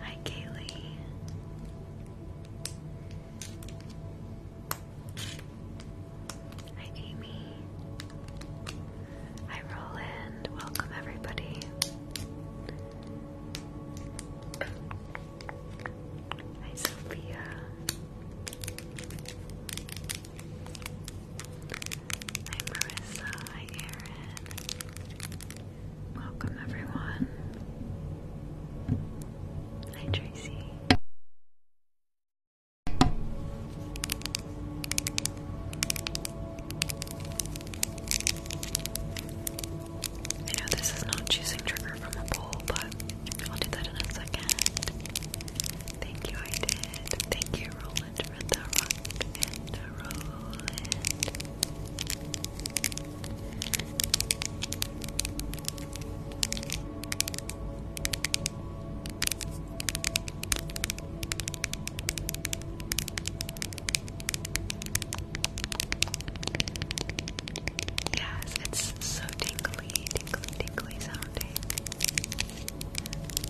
Hi, Kaylee. Hi, Amy. Hi, Roland. Welcome, everybody. Hi, Sophia. Hi Marissa, hi Erin. Welcome everyone. Hi Tracy. I know this is not choosing trigger from a poll, but I'll do that in a second. Thank you, I did. Thank you, Roland, for the rock and the Yes, it's so tingly, tingly, tingly sounding.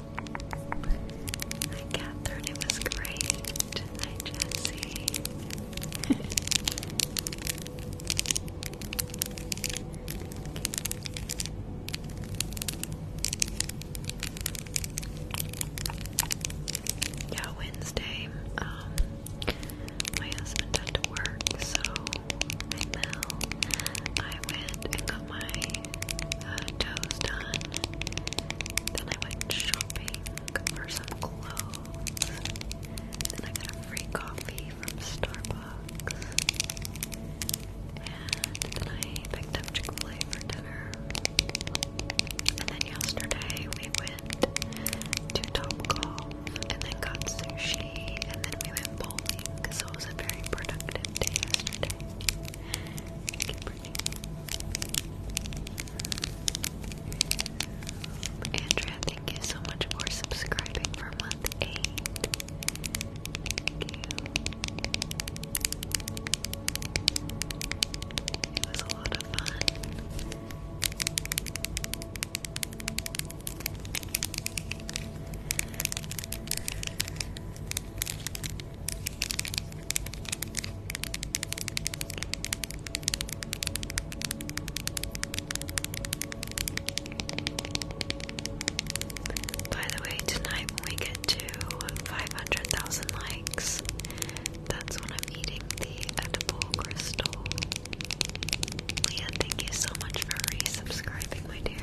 Hi Catherine, it was great. Hi Jesse. yeah, Wednesday, um, my husband had to work, so I know I went and got my toes done. Then I went shopping for some clothes. Then I got a free coffee from Starbucks. And then I picked up Chick fil A for dinner. And then yesterday we went to Top Golf. and then got sushi and then we went bowling. So it was a very productive day yesterday. Andrea, thank you so much for subscribing for month eight. It was a lot of fun. By the way, tonight we get to 500,000 likes, that's when I'm eating the edible crystal. Leah, thank you so much for re-subscribing, my dear.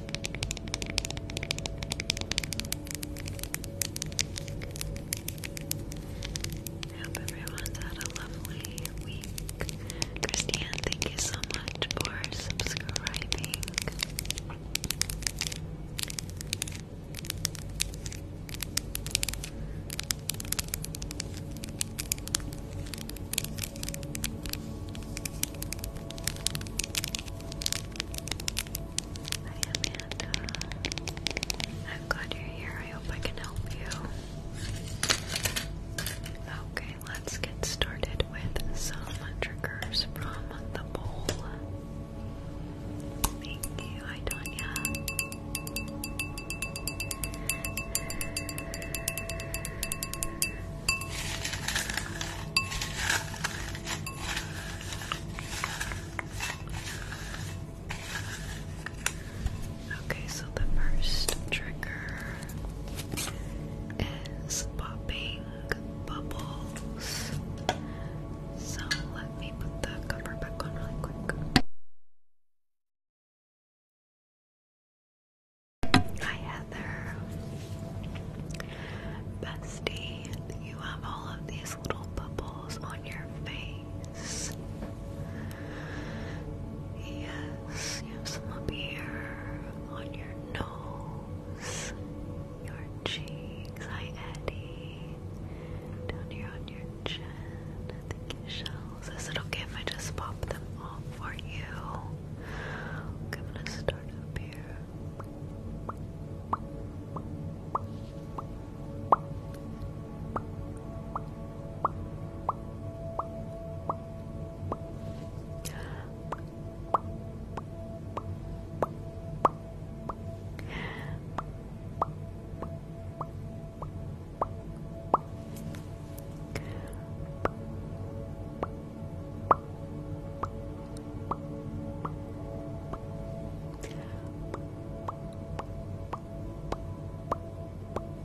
I hope everyone's had a lovely week. Christiane, thank you so much for subscribing. Hi Amanda. I'm glad you're here. I hope I can help you. Okay, let's get started with some triggers from the bowl. Thank you, hi Tanya. Okay, so the first trigger is popping bubbles. So let me put the cover back on really quick. Hi Heather. Bestie, you have all of these little bubbles on your face. Yes, you have some up here, on your nose, your cheeks. Hi Eddie. Down here on your chin. Thank you, Shells. Is it okay if just pop? them off for you. I'm gonna start up here.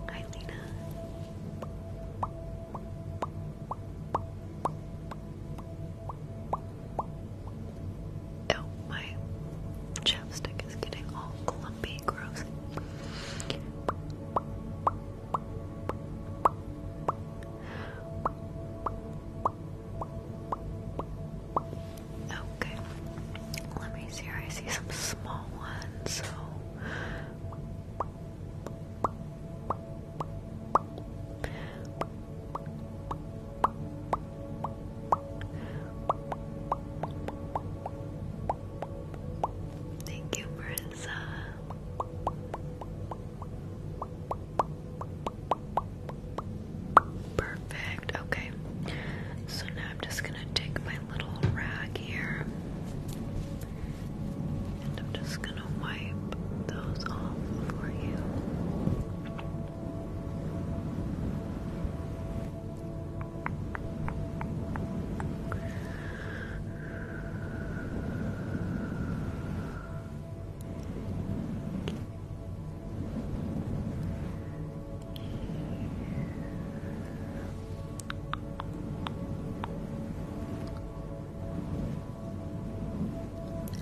Hi, Lena. Oh, my chapstick is getting all clumpy, gross. Okay. Let me see here. I see some small ones, Thank you, Marissa. Perfect. Okay. So now I'm just going to take my little rag here and I'm just going to wipe those off for you.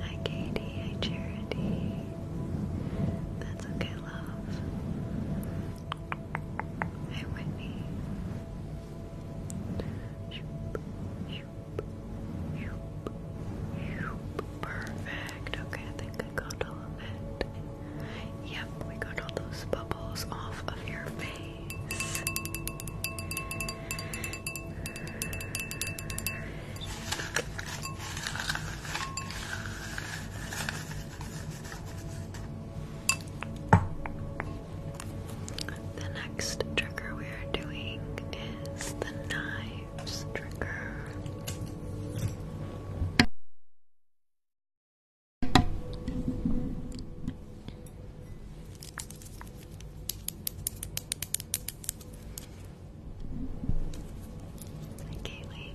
Hi Katie, hi Charity. That's okay, love. Hi Whitney. Perfect. Okay, I think I got all of it. Yep, we got all those bubbles off of your face. The next trigger we are doing is the knife trigger. Hi, Kaylee.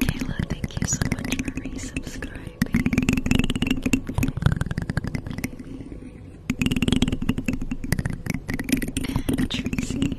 Kayla, thank you so much for resubscribing. And Tracy.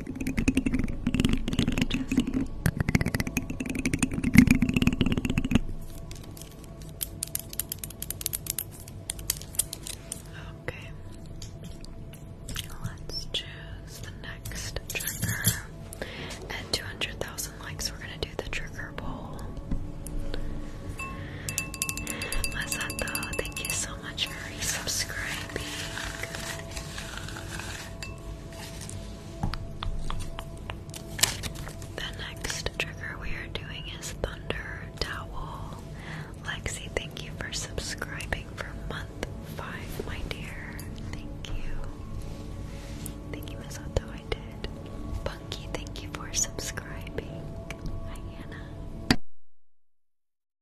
Okay. Let's choose the next trigger. At 200,000 likes, we're gonna do the trigger bowl. Masato, thank you so the next trigger we are doing is Thunder Towel. Lexi, thank you for subscribing for month five, my dear. Thank you. Thank you, Miss Otto. I did. Punky, thank you for subscribing. Hi,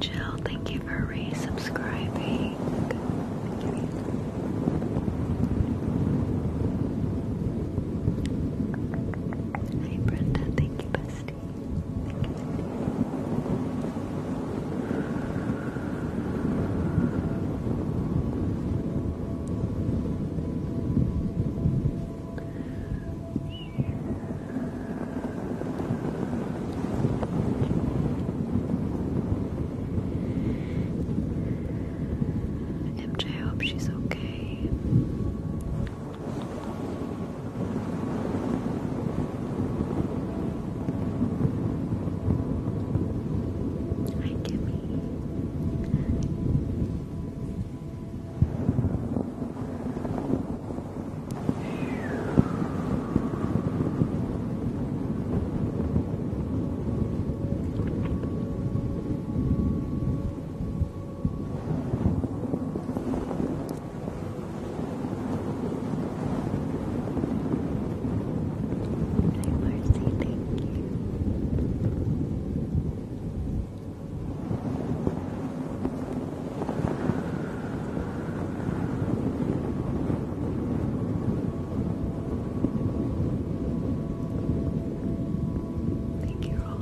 Jill, thank you for resubscribing. Hey Brenda, thank MJ, I hope she's okay. Hi, Kimmy. Hi, Hi Marcy, thank you. Thank you all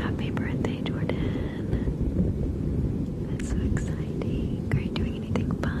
Happy birthday, Jordan. That's so exciting. Are you doing anything fun?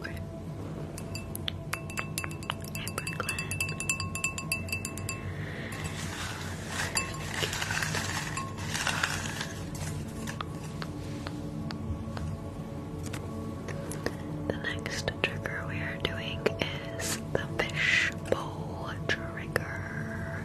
Okay. Hey, Brooklyn. The next trigger we are doing is the fishbowl trigger.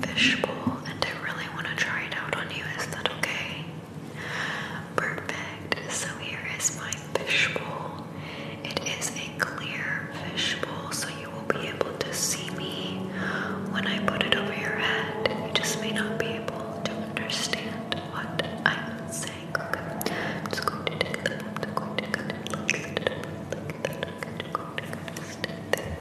fishbowl and I really want to try it out on you. Is that okay? Perfect. So here is my fishbowl. It is a clear fishbowl, so you will be able to see me when I put it over your head. You just may not be able to understand what I'm saying.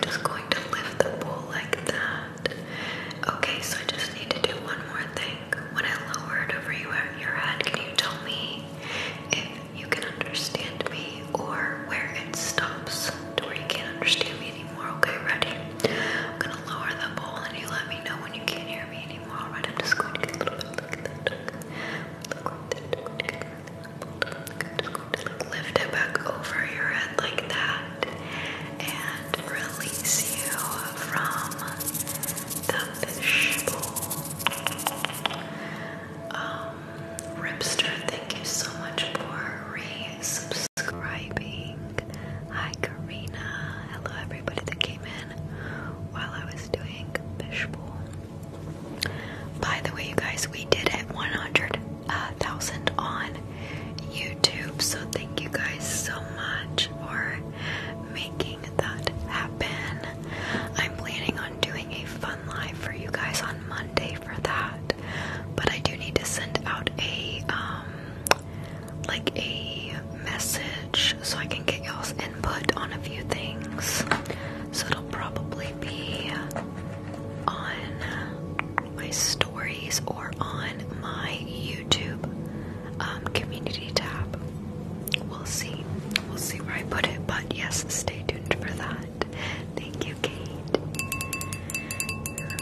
Just going to lift the bowl like that. Okay, so I just need to do one more thing. When I lower it over uh, your head, can you tell me if you can understand me or where it stops to where you can't understand me? Okay, ready? I'm gonna lower the bowl and you let me know when you can't hear me anymore. Alright, I'm just going to get a little bit like that. I'm just lift it back over your head like that and release you from the fish bowl. Um, Ripster, thank you so much for subscribing Hi Karina. Hello everybody that came in while I was doing fishbowl. By the way, you guys, we did hit 100,000 uh, on YouTube, so thank you guys so much for making that happen. I'm planning on doing a fun live for you guys on Monday for that, but I do need to send out a um like a message so I can get y'all's input on a few things. So it'll probably be on my stories or on my YouTube um, community tab. We'll see. We'll see where I put it, but yes, stay tuned for that. Thank you, Kate.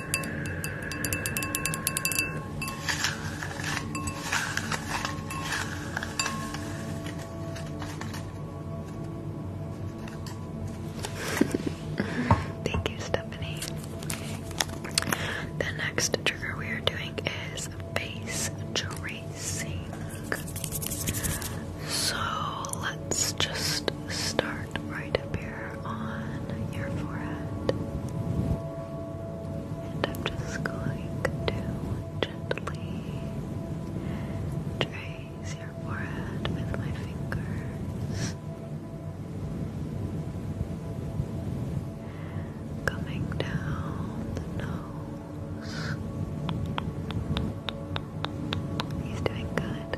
Thank you, Stephanie. The next trigger we are doing is face tracing. So let's just start right up here on your forehead. And I'm just going to gently trace your forehead with my fingers. Coming down the nose. He's doing good.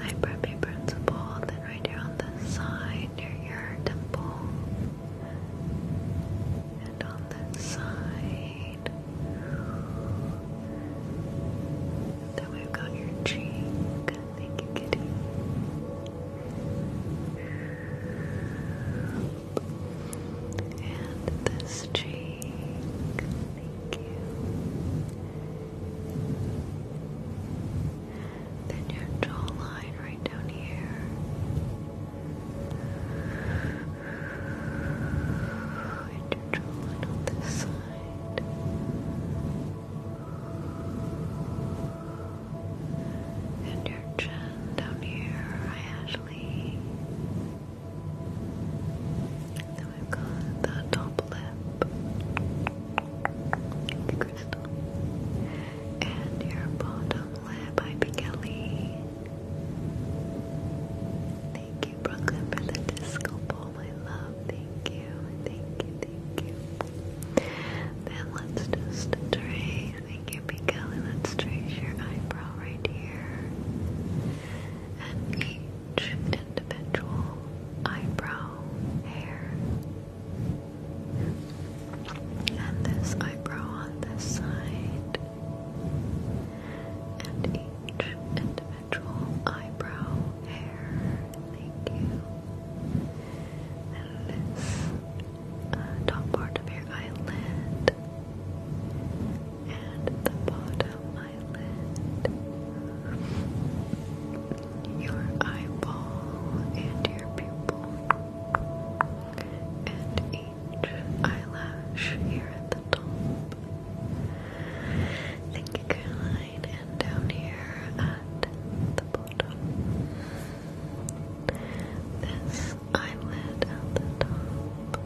I preppy principle, then right here on this side near your temple, and on this side, then we've got your cheek. Thank you, Kitty. And this cheek. Thank you. Then your jawline right down here. And your jawline on this side. And your chin down here, I then we've got the top lip, crystal, and your bottom lip by Kelly. Thank you, Brooklyn, for the disco ball, my love. Thank you, thank you, thank you. Then let's just trace. Thank you, Kelly. Let's trace your eyebrow right here. And each each individual eyebrow hair. And this eyebrow on this side. And each individual eyebrow hair. Thank you. And this uh, top part of your eyelid and the bottom eyelid, your eyeball, and your pupil, and each eyelash here at the top. Thank you, and down here at the bottom. This eyelid at the top.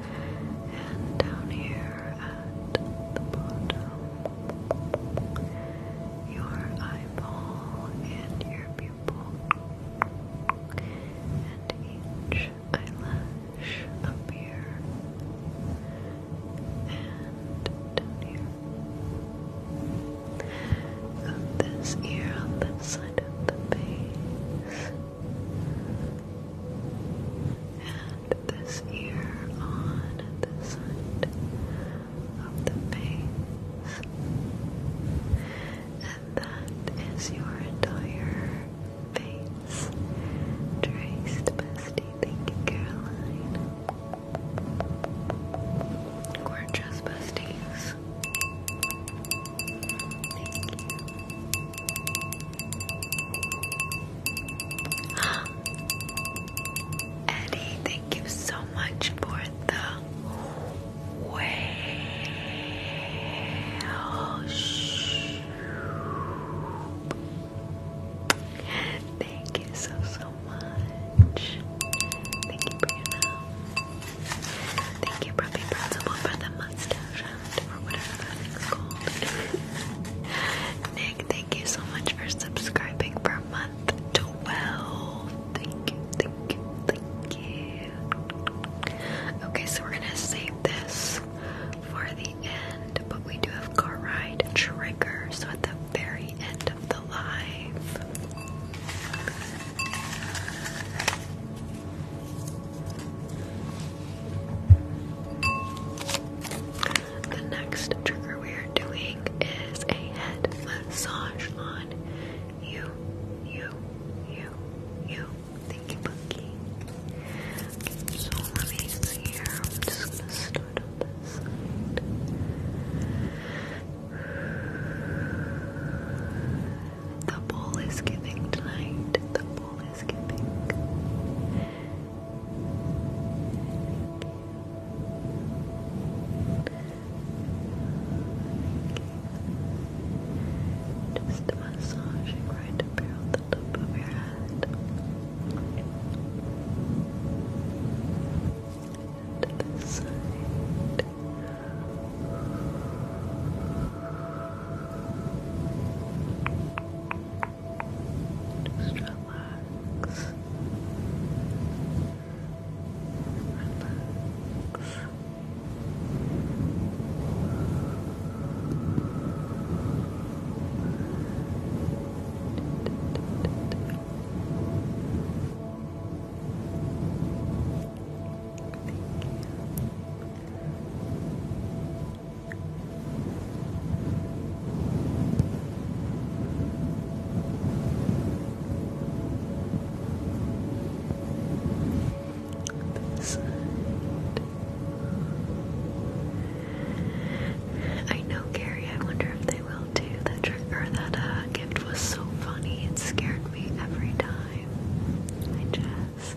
And down here at the bottom, your eyeball and your pupil, and each eyelash up here, and down here, of this ear on this side of the face and this ear on the side of the face, and that is your entire face traced, bestie. Thank you, Caroline. Gorgeous besties. Thank you. Eddie, thank you so much for the whale. Shh. Thank you so, so much. Thank you, Brianna. Thank you, Proppy Principal, for the mustache. Nick, thank you so much for subscribing for month 12. Thank you, thank you, thank you. Okay, so we're gonna save this for the end, but we do have car ride trigger, so at the very end of the live. The next trigger we are doing is a head massage on you, you, you, you. Thank you, so let here. I'm just start on this The bowl is giving tonight. Thank you. Just massaging right up here the top of your head. And this side. Just relax. Relax. Thank you. I know, Gary. I wonder if they will do That trick or that uh, gift was so funny. It scared me every time. I just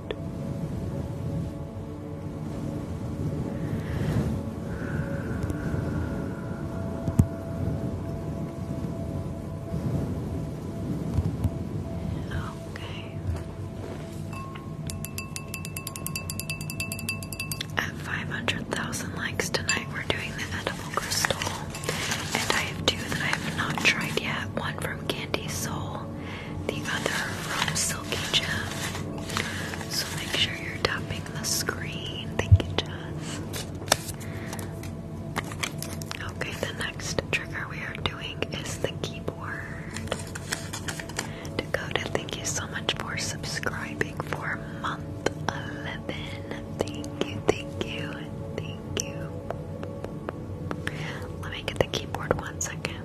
Okay. At 500,000 likes tonight, we're doing the edible crystal. And I have two that I have not tried yet one from Candy Soul the other from Silky Gem. So make sure you're tapping the screen. Thank you, Jess. Okay, the next trigger we are doing is the keyboard. Dakota, thank you so much for subscribing for month 11. Thank you, thank you, thank you. Let me get the keyboard one second.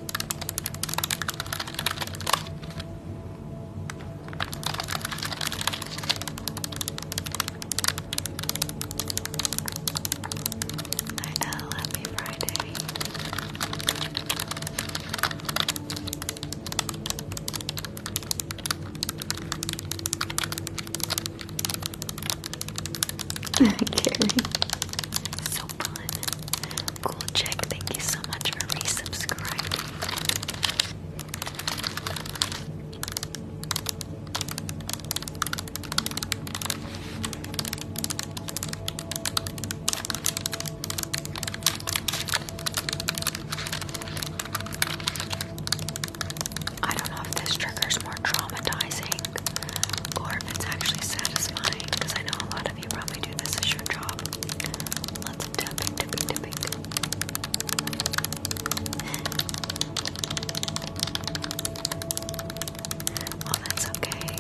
Hi Elle, happy Friday. Carrie. So fun. Cool check, thank you so much for resubscribing. I don't know if this trigger's more traumatizing or if it's actually satisfying, because I know a lot of you probably do this as your job. Lots of tapping, tapping, tapping. Well, that's okay.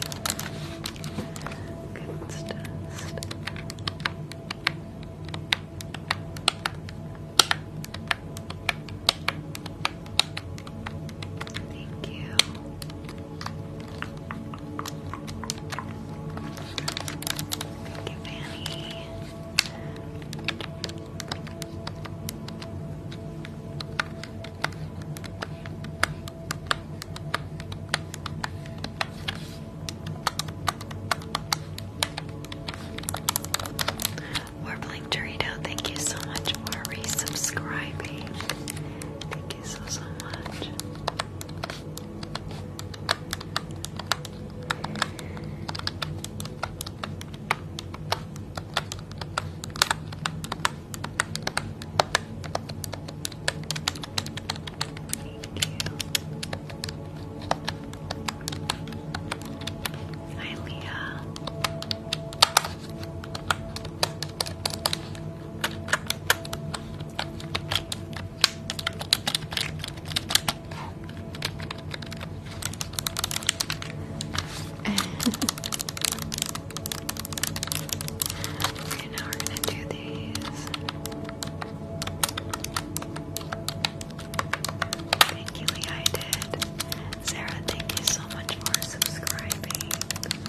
Good stuff. Thank you. Thank you, Fanny. Warbling Dorito, thank you so much for resubscribing. Thank you so, so much. Hi, Leah okay, now we're gonna do these. Thank you, Lee. did. Sarah, thank you so much for subscribing.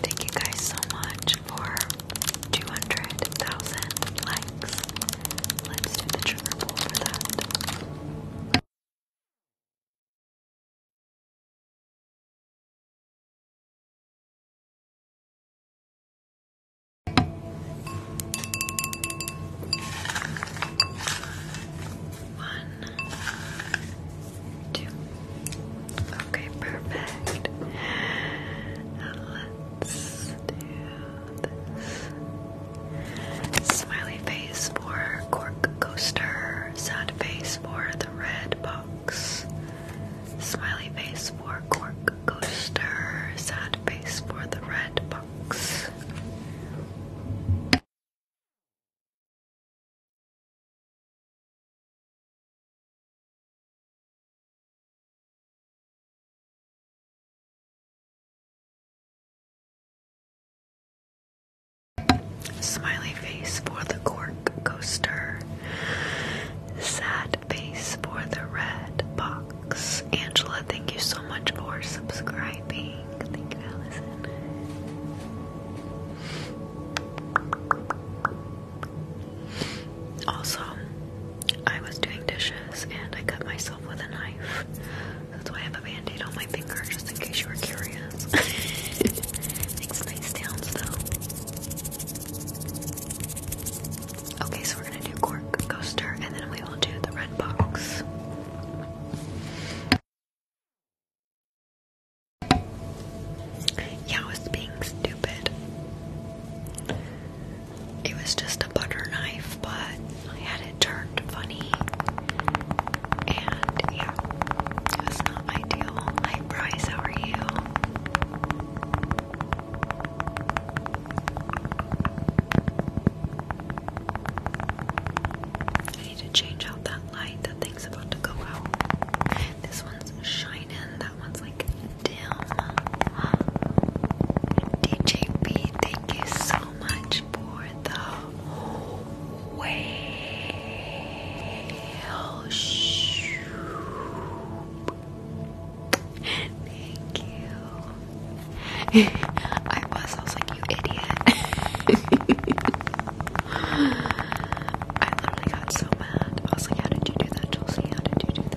Thank you guys so much for 200,000 likes. Let's do the trigger pull for that. One, two. Okay, perfect. Now let's do Smiley face for cork coaster. Sad face for the red box. Smiley face for cork coaster. Sad face for the red box. Smiley face for the cork coaster. Sad face for the red box. Angela, thank you so much for subscribing. Thank you, Allison. Also, I was doing dishes and I cut myself with a knife. That's why I have a band-aid on my finger, just in case you were curious. Makes nice sounds though. Okay, so we're gonna do cork coaster and then we will do the red box. Yeah, I was being stupid. It was just a butter knife, but I had turned funny. And yeah, it was not ideal. Hi, Bryce, how are you? I need to change out that light. That thing's about to go out. This one's shining, that one's like dim. DJ thank you so much for the well, shoo. Thank you. I was, I was like, you idiot. I literally got so mad. I was like, how did you do that, Chelsea? How did you do that?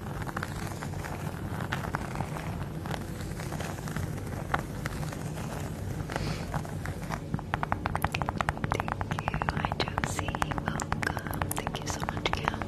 Hi Josie, welcome. Thank you so much, Cam.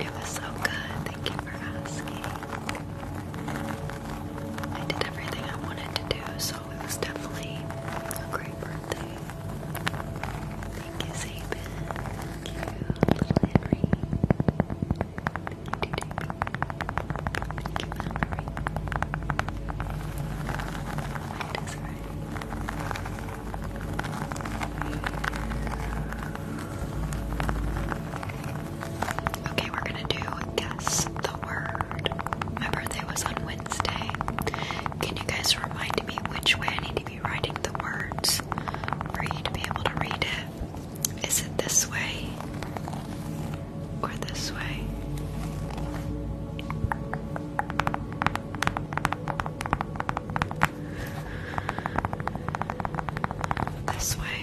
It was so good. Thank you for asking. I did everything I wanted to do, so it was definitely a great birthday. Thank you, Saban. Thank you, little Henry. Thank you, Thank Okay, we're gonna do guess the word. My birthday was on Wednesday. Can you guys remind me which way I need to be writing the words for you to be able to read it? Is it this way? or this way. This way.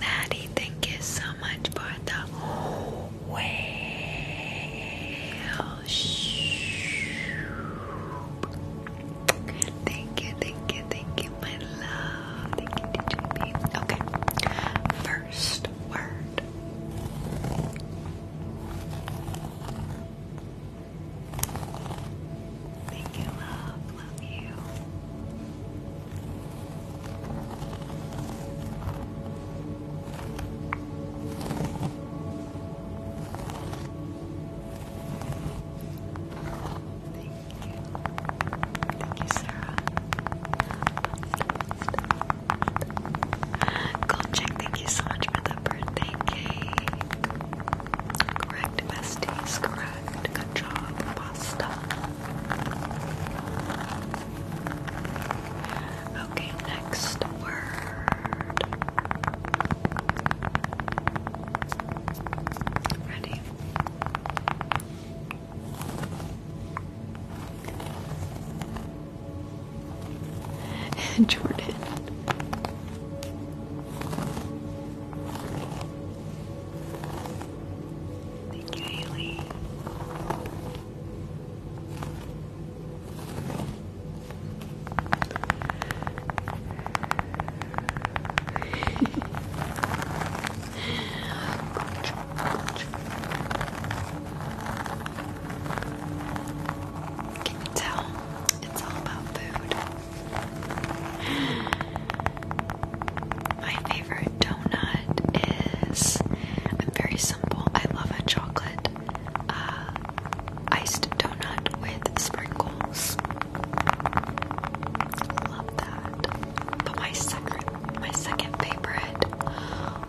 Maddie, thank you so much for the whale. Shoo. Thank you, thank you, thank you my love. Thank you, Okay. First word. Thank you, love. Love you. Thank you, Sarah. Goldcheck, thank you so much for the birthday cake. Correct, besties, correct. Good job, pasta. Okay, next word. Ready? Jordan. Thank you, Haley. Can you tell? It's all about food. My favorite donut is i very simple. I love a chocolate uh, iced donut with sprinkles. Love that. But my second my second favorite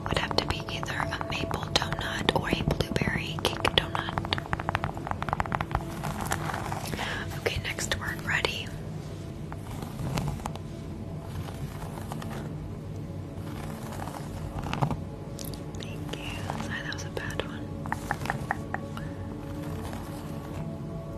would have to be either a maple donut or a blueberry cake donut. Okay, next word ready. Thank you. that was a bad one.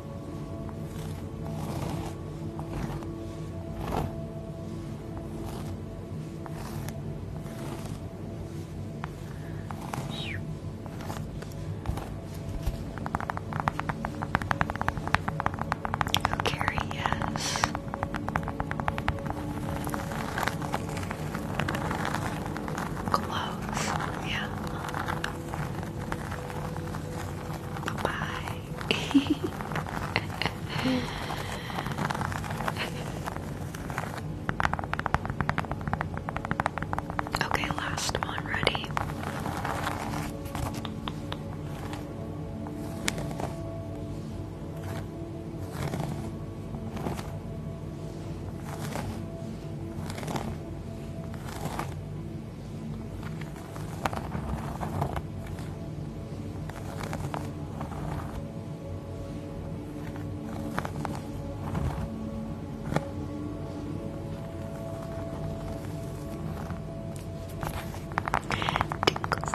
Oh, yes. Close, yeah. Bye bye. okay, last one ready. Tickles,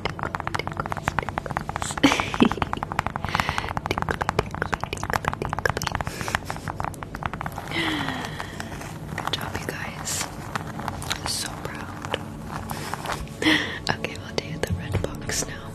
tickles, tickles, tickles. tickly, tickly, tickly, tickly. Good job, you guys. So proud. okay, we'll do the red box now.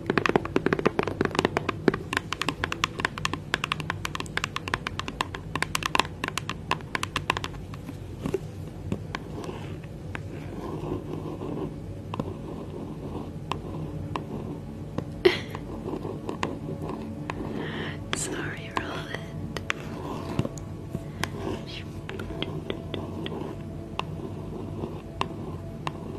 Sorry, Roland.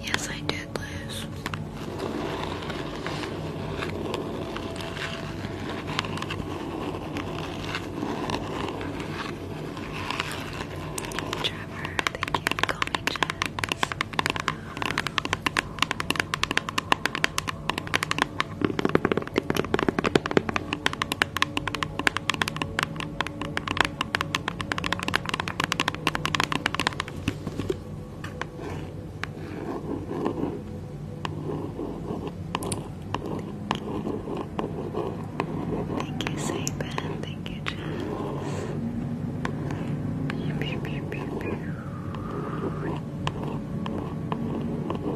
Yes, I did, Liz. Trevor, thank you for calling Jess. Thank you, Saban. Thank you, Jess.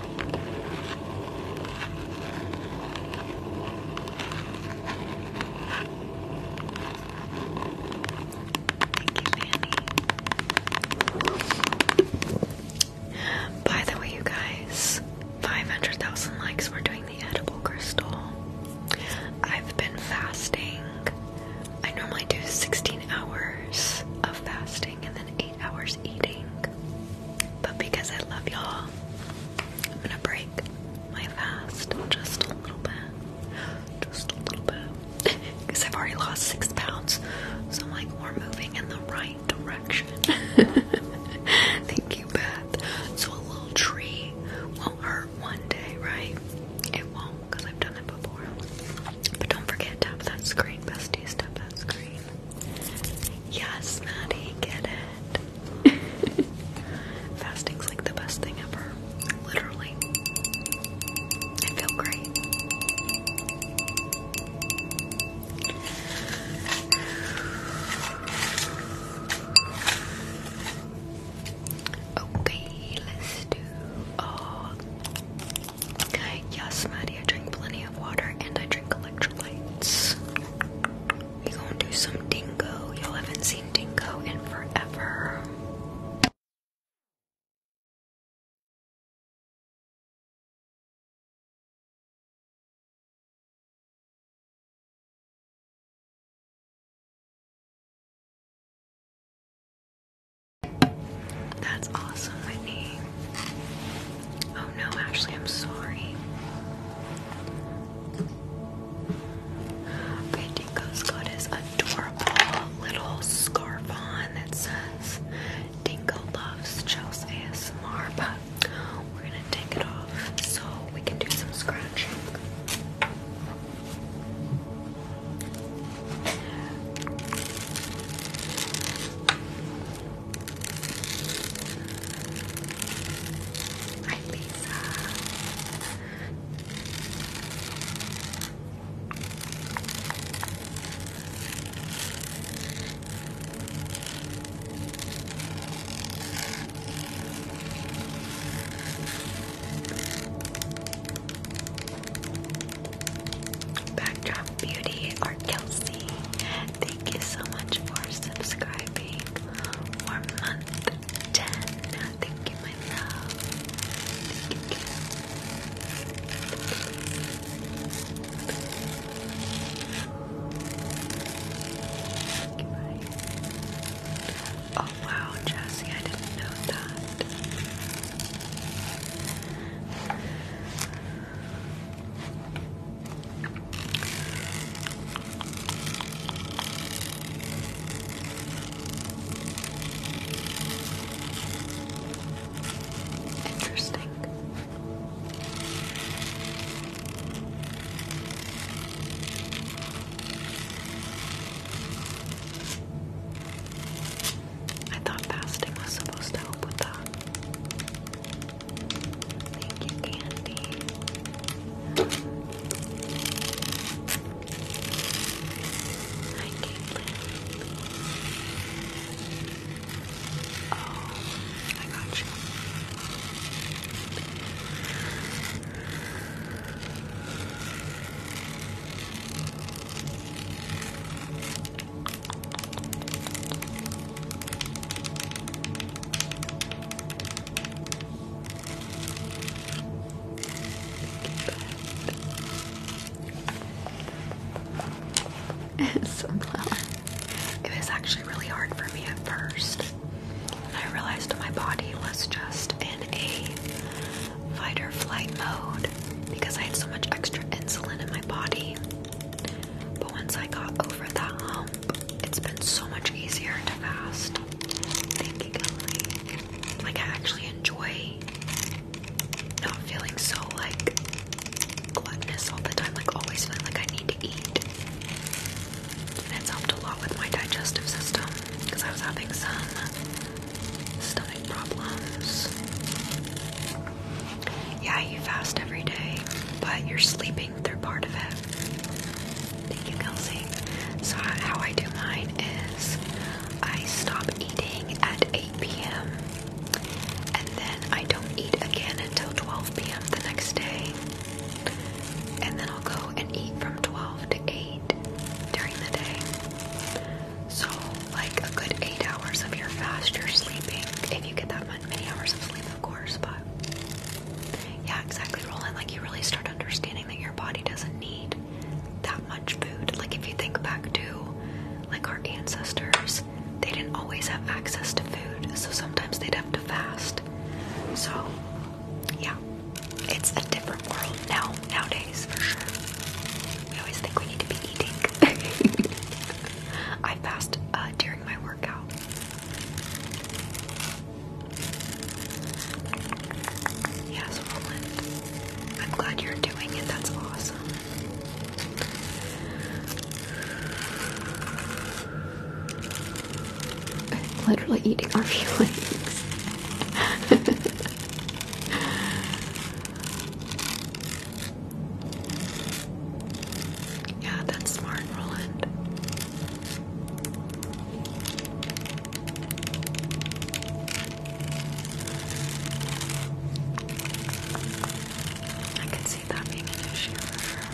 Fanny. By the way, you guys, 500,000 likes, we're doing the edible crystal. I've been fasting. I normally do 16 hours of fasting and then 8 hours eating. But because I love y'all, I'm gonna break my fast just a little bit. Just a little bit. Because I've already lost six pounds. So I'm like, we're moving in the right direction. Thank you, Beth. So a little tree won't hurt one day, right? It won't, because I've done it before. But don't forget, to tap that screen, besties, tap that screen. Yes, Maddie, get it. Fasting's like the best thing ever. Literally. I feel great. Okay, let's do oh yes Maddie, I drink plenty of water and I drink electrolytes. gonna do some dingo. Y'all haven't seen dingo in forever. That's awesome, Whitney. Oh no, actually, I'm sorry. Okay, Dinko's got his adorable little scarf on that says Dinko loves Chelsea ASMR, we're gonna take it off so we can do some scratching. Hi, Lisa. Backdrop Beauty or Kelsey thank you so much for subscribing for month 10. Thank you, my love. Oh wow, Jesse, I didn't know that. Interesting. I thought fasting was supposed to help with that. Thank you, Candy. Hi, Caitlin. Oh, I got you. Sunflower. It was actually really hard for me at first. I realized my body was just in a fight or flight mode because I had so much extra insulin in my body. But once I got over that hump, it's been so much easier to fast. Like, I actually enjoy not feeling so, like, gluttonous all the time. Like, always feeling like I need to eat. And helped a lot with my digestive system because I was having some stomach problems. Yeah, you fast every day, but you're sleeping think part of it. Thank you, Kelsey. So, how I do mine is I stop eating at 8 p.m. and then I don't eat again until 12 p.m. the next day. And then I'll go and eat from 12 to 8 during the day. So, like a good 8 hours of your fast, you're sleeping. If you get that many hours of sleep, of course, but yeah, exactly, Roland. Like, you really start understanding that your body doesn't need that much food. Like, if you think back to, like, our ancestors, they didn't always have access to food, so sometimes they'd have to fast. So, yeah, it's a different world now, nowadays, for sure. We always think we need to be eating. I fasted uh, during my work. Yes, Roland. I'm glad you're doing it. That's awesome. I'm literally eating our feelings. yeah, that's smart, Roland. I can see that being an issue for her.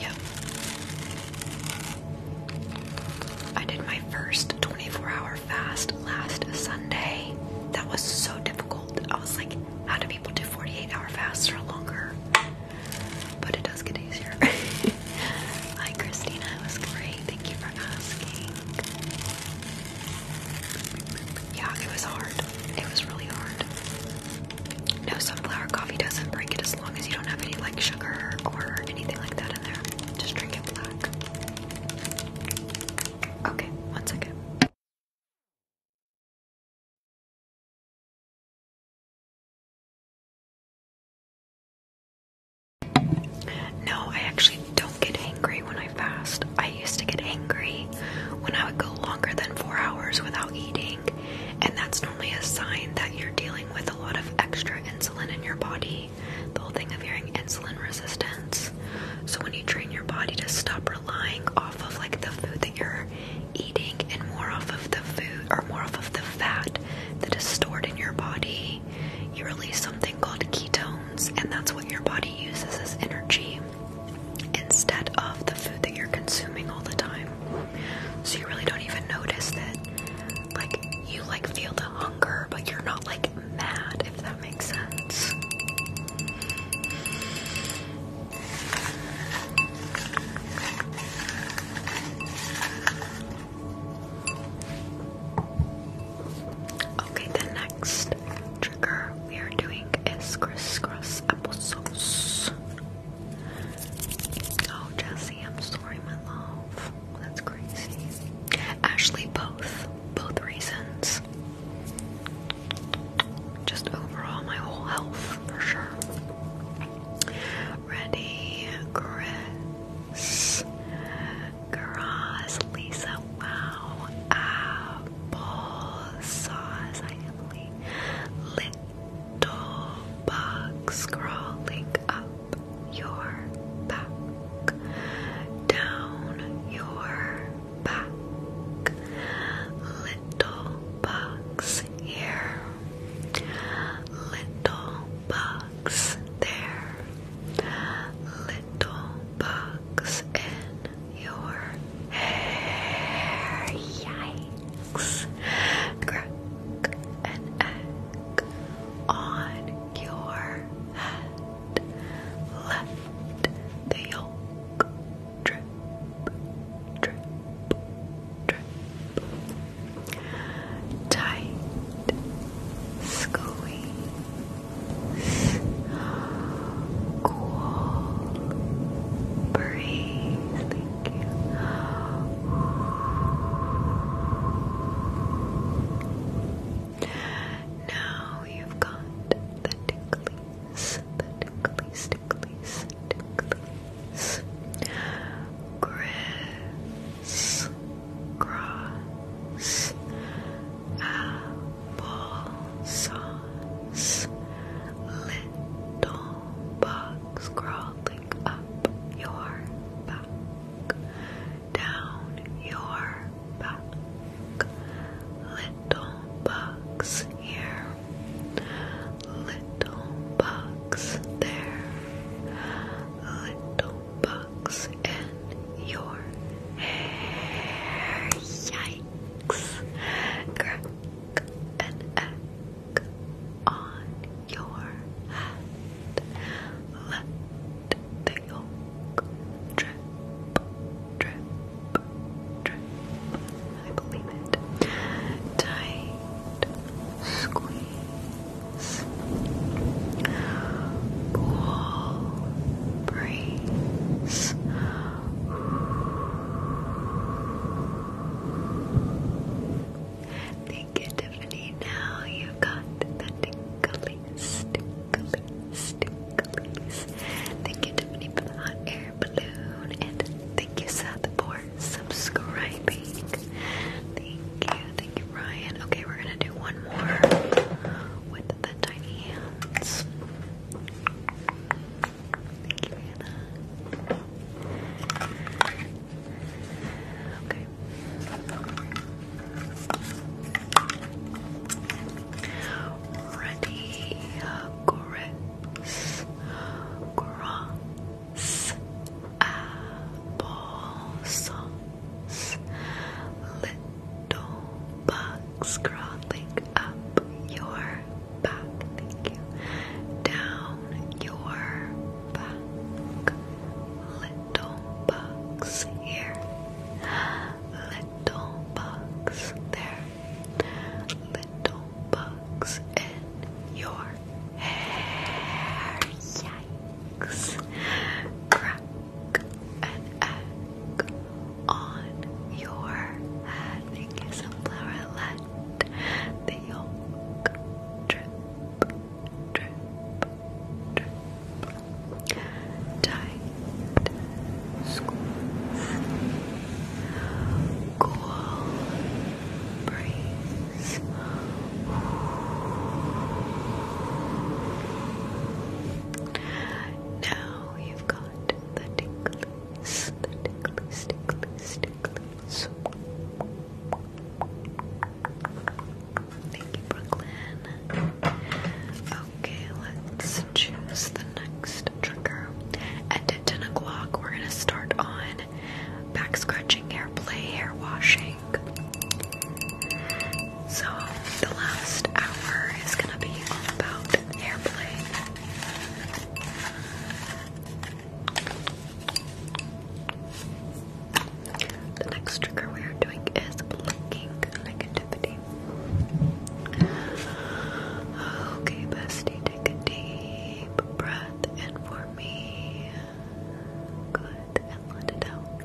Yep. I did my first 24 hour fast last Sunday. That was so difficult. I was like, how do people do 48 hour fasts or longer? But it does get easier. Hi, Christina. It was great. Thank you for asking. Yeah, it was hard. It was really hard. No, sunflower coffee doesn't break it as long as you don't have any like sugar or anything like that in there. Just drink it black. Okay, one second. No, I actually don't get angry when I fast. I used to get angry when I would go longer than four hours without eating, and that's normally a sign that you're dealing with a lot of extra insulin in your body. The whole thing of hearing insulin resistance. So, when you train your body to stop relying off of like the food that you're eating and more off of the food or more off of the fat that is stored in your body, you release something called ketones, and that's what your body uses as energy instead of the food that you're consuming all the time. So you really don't even notice that like you like feel the hunger, but you're not like mad if that makes Okay, the next trigger we are doing is crisscross applesauce. Oh, Jesse, I'm sorry, my love. That's crazy. Ashley, both. Both reasons just overall my whole health for sure. Ready, Chris, Grass, Lisa, wow, apple sauce, I Emily, little bug crawling up your back, down your back little bugs here little bugs there little bugs in your hair yikes crack an egg on your left the drip, drip, drip. Tight, squeeze, cool, breathe. Thank you. Now you've got the tickling Ticklies, ticklies, ticklies. Criss, cross, apple sauce. Little bugs crawling up your back, down your back. Little bugs here, little bugs there, little bugs in your hair. Yikes! Crack an egg on your head. Let the yolk drip, drip drip. I believe it. Tight squeeze. Cool breeze. Thank you, Tiffany. Now you've got the tickly, tickly, tickly, Thank you, Tiffany, for the hot air balloon. And thank you, Seth, for subscribing. Thank you. Thank you, Ryan. Okay, we're going to do one more with the tiny hands. Thank you, Hannah. Okay. Ready, grapes, grass, apple sauce, little bugs crawling up your back, down your back, little bugs here, little bugs there little bugs in your hair. Yikes! Crack an on your head. Thank you, Sunflowerlet. The yolk drip, drip, drip. Time night schools now you've got the ticklies, the ticklies, ticklies, thank you Brooklyn Okay, let's choose the next trigger. at 10 o'clock, we're gonna start on back scratching, hair hair washing. So the last hour is gonna be all about hair The next trigger we are doing is blinking negativity okay. Okay, bestie, take a deep breath in for me. Good, and let it out.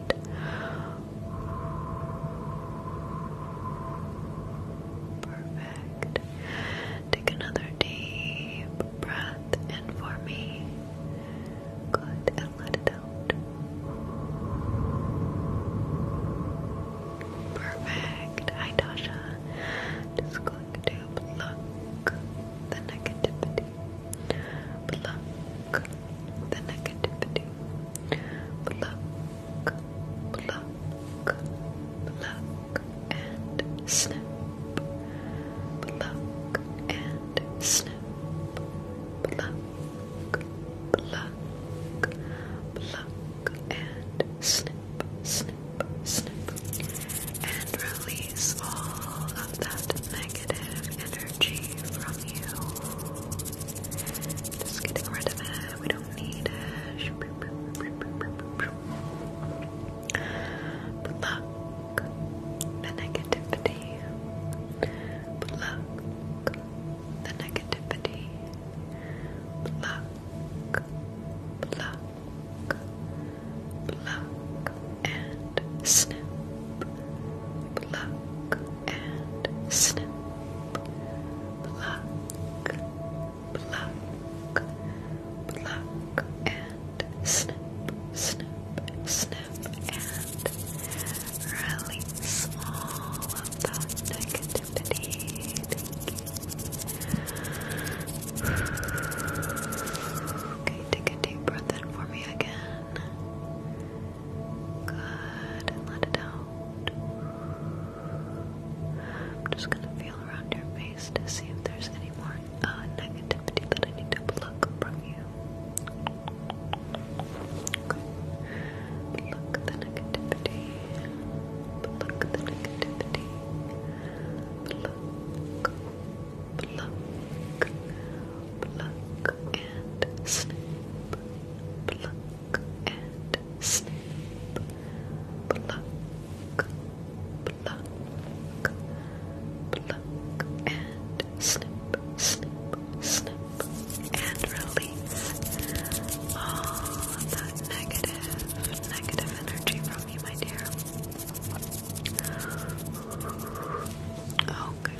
Perfect. Take another deep breath in for me. Good, and let it out. Perfect. Hi, Tasha. Just going to pluck the negativity. Pluck the negativity. Pluck, pluck, pluck, and snip. Pluck and snip. Pluck, pluck, pluck and snip, snip, snip, and release all of that negative energy from you. Just getting rid of it, we don't need it. Pluck the negativity. Pluck the negativity. Pluck pluck, pluck and snip, pluck and snip, pluck, pluck, pluck and snip, snip, snip and release all of that Okay, take a deep breath in for me again. Good, and let it out. I'm just gonna feel around your face to see if there's any more negativity that I need to pluck from you. Okay. the negativity. Pluck the negativity. Pluck, pluck, pluck and snip. Pluck and snip. Pluck, pluck, pluck and snip, snip, snip, and release all of oh, negative energy from you, my dear. Okay. Oh,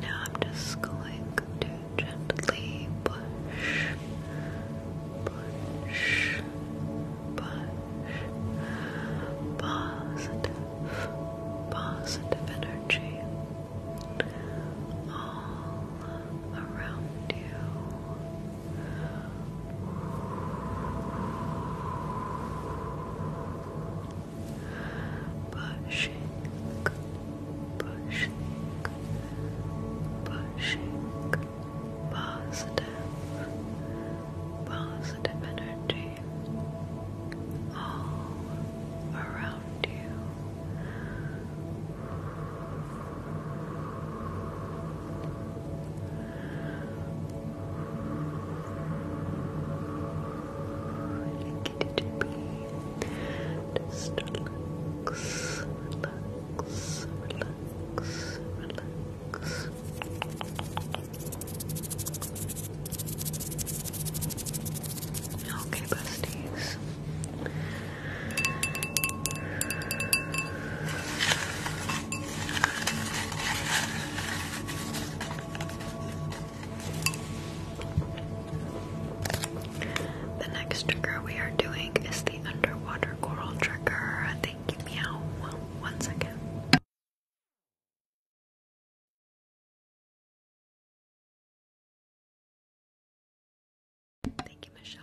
now I'm just going to gently push, push, push positive, positive energy all oh around you. Pushing, pushing, pushing positive, positive energy all around you. Thank you, DJP. Just relax, relax, relax, relax. Okay, besties. The next trigger we are doing is the underwater coral trigger. Thank you, meow. One second. Thank you, Michelle.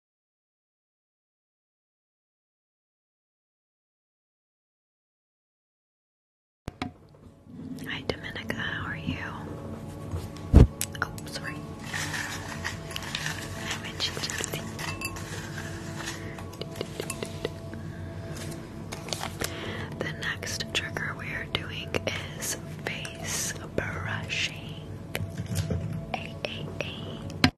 Hi Dominica, how are you? Oh, sorry. I mentioned something. The next trigger we are doing is face brushing. A A A.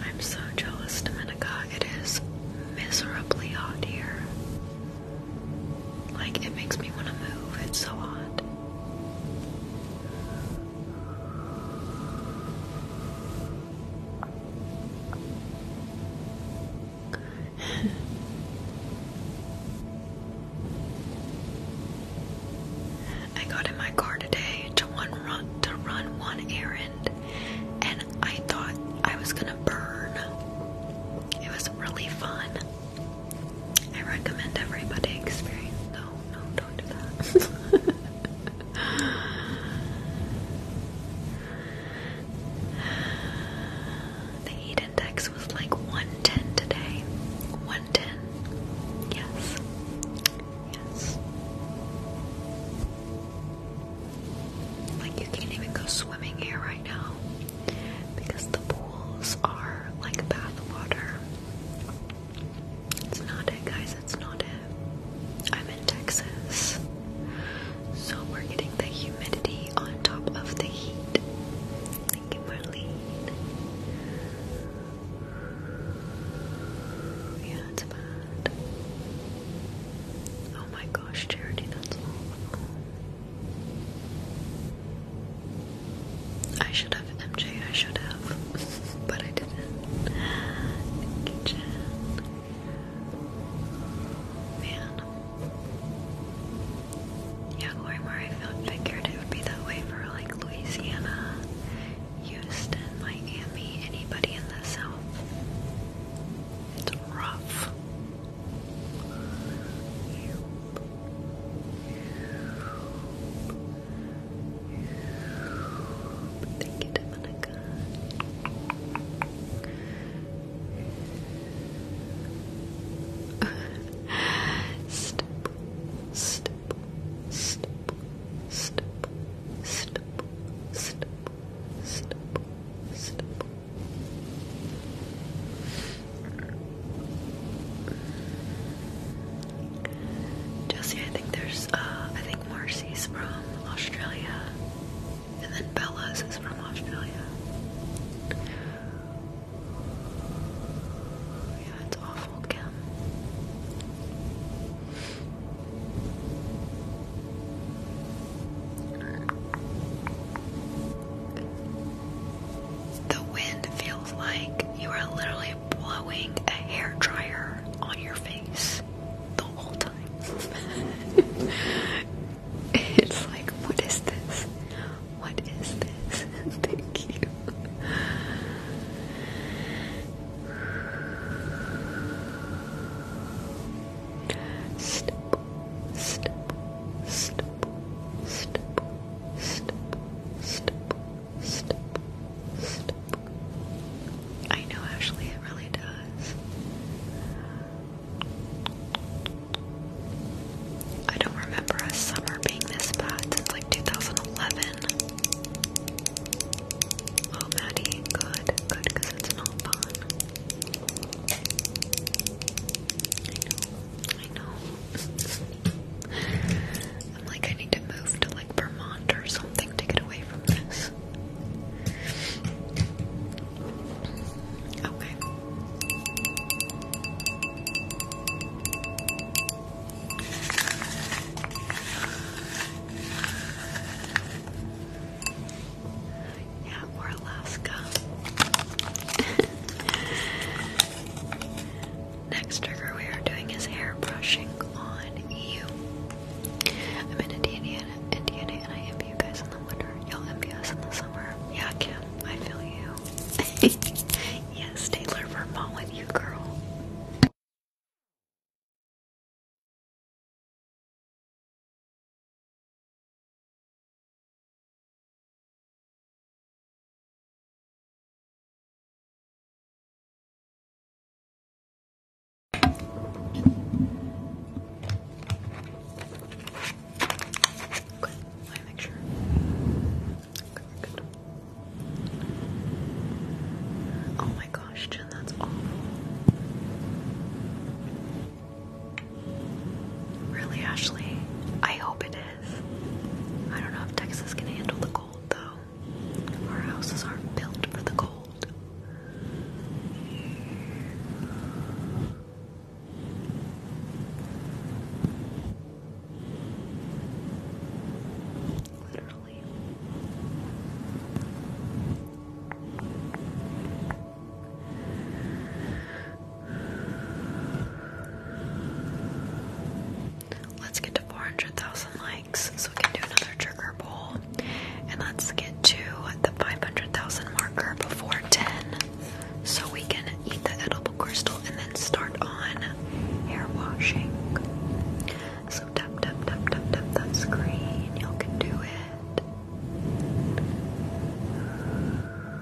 I'm so jealous, Dominica. It is miserably hot here. Like, it makes me want to move. It's so hot. I got in my car today to one run to run one errand and I thought I was gonna burn. It was really fun. I recommend everybody experience. No, no, don't do that. the heat index was like 110 today. 110. Yes. Yes. Like you can't even go swimming here right now because the pools are like bath water. It's not it, guys. It's not it. I'm in Texas, so we're getting the humidity on top of the heat. Thank you, Marlene. Yeah, it's bad. Oh my gosh, Charity, that's awful. I should have MJ, I should have, but I didn't. Man. Yeah, Lori Murray figured it would be that way for like Louisiana, Houston, Miami, anybody in the South. It's rough. Thank you, Dominica. Stop. Stop. step, step, step, step, step, step. Jesse, I think there's, uh, I think Marcy's from Australia, and then Bella's is from Australia. Yeah, it's awful, Kim. The wind feels like you are literally blowing a hair dryer on your face the whole time. it's like, what is this? What is this? Thank you. Step, step, step, step, step, step, step, step. I know, Ashley, it really does. I don't remember a summer being this bad since like 2011. Oh, Maddie, good, good, because it's not fun. I know, I know. I'm like, I need to move to like Vermont or something to get away from this. Okay. Yeah, or Alaska. Next trigger we are doing is hair brushing on you. I'm in Indiana, Indiana, and I envy you guys in the winter. Y'all envy us in the summer. Yeah, Kim, I feel you. yes, Taylor, Vermont with you, girl. Good. Let me make sure. Good, good. Oh my gosh, Jen, that's awful. Really, Ashley? I hope it I don't know if Texas can handle the cold though. Our houses aren't built for the cold. Literally. Let's get to 400,000 likes so we can do another trigger poll. And let's get to the 500,000 marker before 10 so we can eat the edible crystal and then start on hair washing. So tap, tap, tap, tap, tap that screen. Y'all can do it.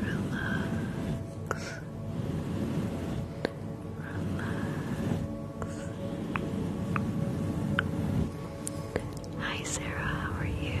relax, relax. Hi Sarah, how are you?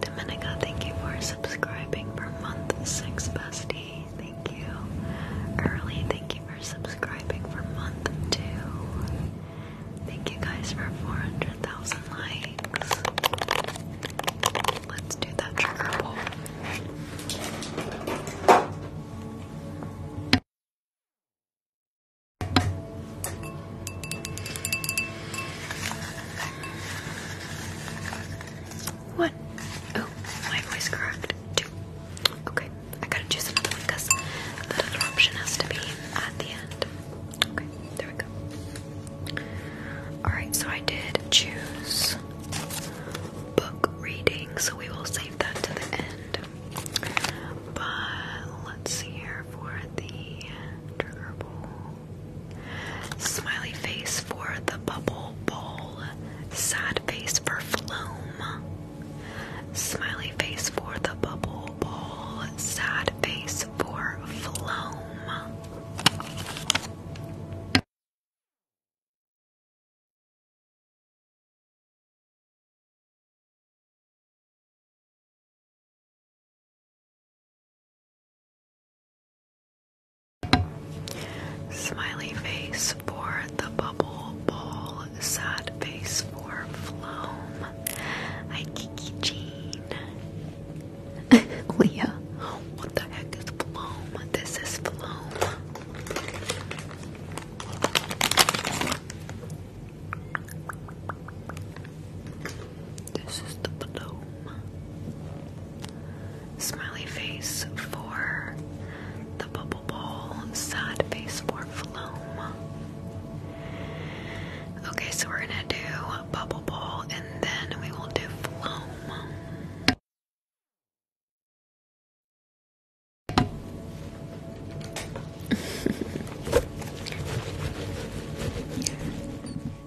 Dominica, thank you for subscribing for month six, bestie. Thank you. Early, thank you for subscribing for month two. Thank you guys for 400,000 likes. Let's do that trigger pull. What? Oh, my voice cracked Okay, I gotta choose another because the other option has to be at the end. Okay, there we go. Alright, so I did choose book reading, so we will save that to the end. But let's see here for the trigger bowl. Smiley face for the bubble ball. Sad face for Floam. Smiley face for the bubble ball. Sad face for Floam. Smiley face for the bubble ball, sad face for Floam. Hi, Kiki Jean. Leah, what the heck is Floam? This is Floam. This is the bloom. Smiley face for the bubble ball. Sad face for Floam. Okay, so we're gonna do bubble ball and then we will do Floam.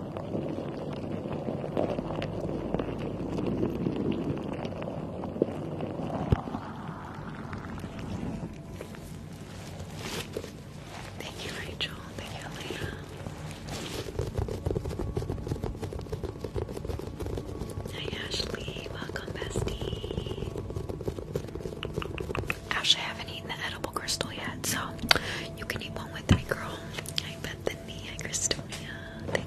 Thank you, Rachel. Thank you, Elena. Hi, Ashley. Welcome, bestie. Ash, I haven't eaten the edible crystal yet, so you can eat one with me, girl. I bet the knee, Christonia.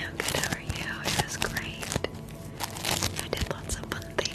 I'm good. How are It was great. I did lots of fun things.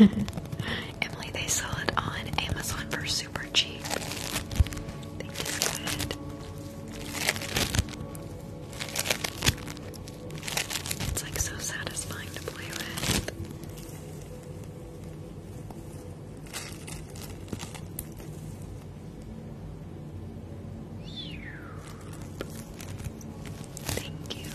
Emily, they sell it on Amazon for super cheap. I think good. It's like so satisfying to play with. Thank you.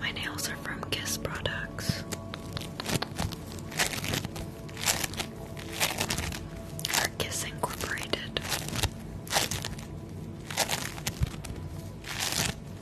My nails are from Kiss Products. Or Kiss Incorporated.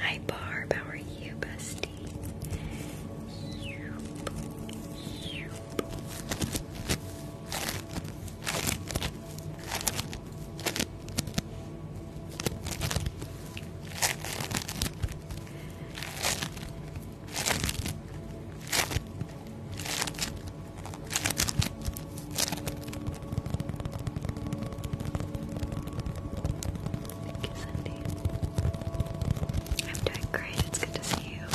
Hi Barb, how are you, Busty? Thank you, I'm doing great. It's good to see you.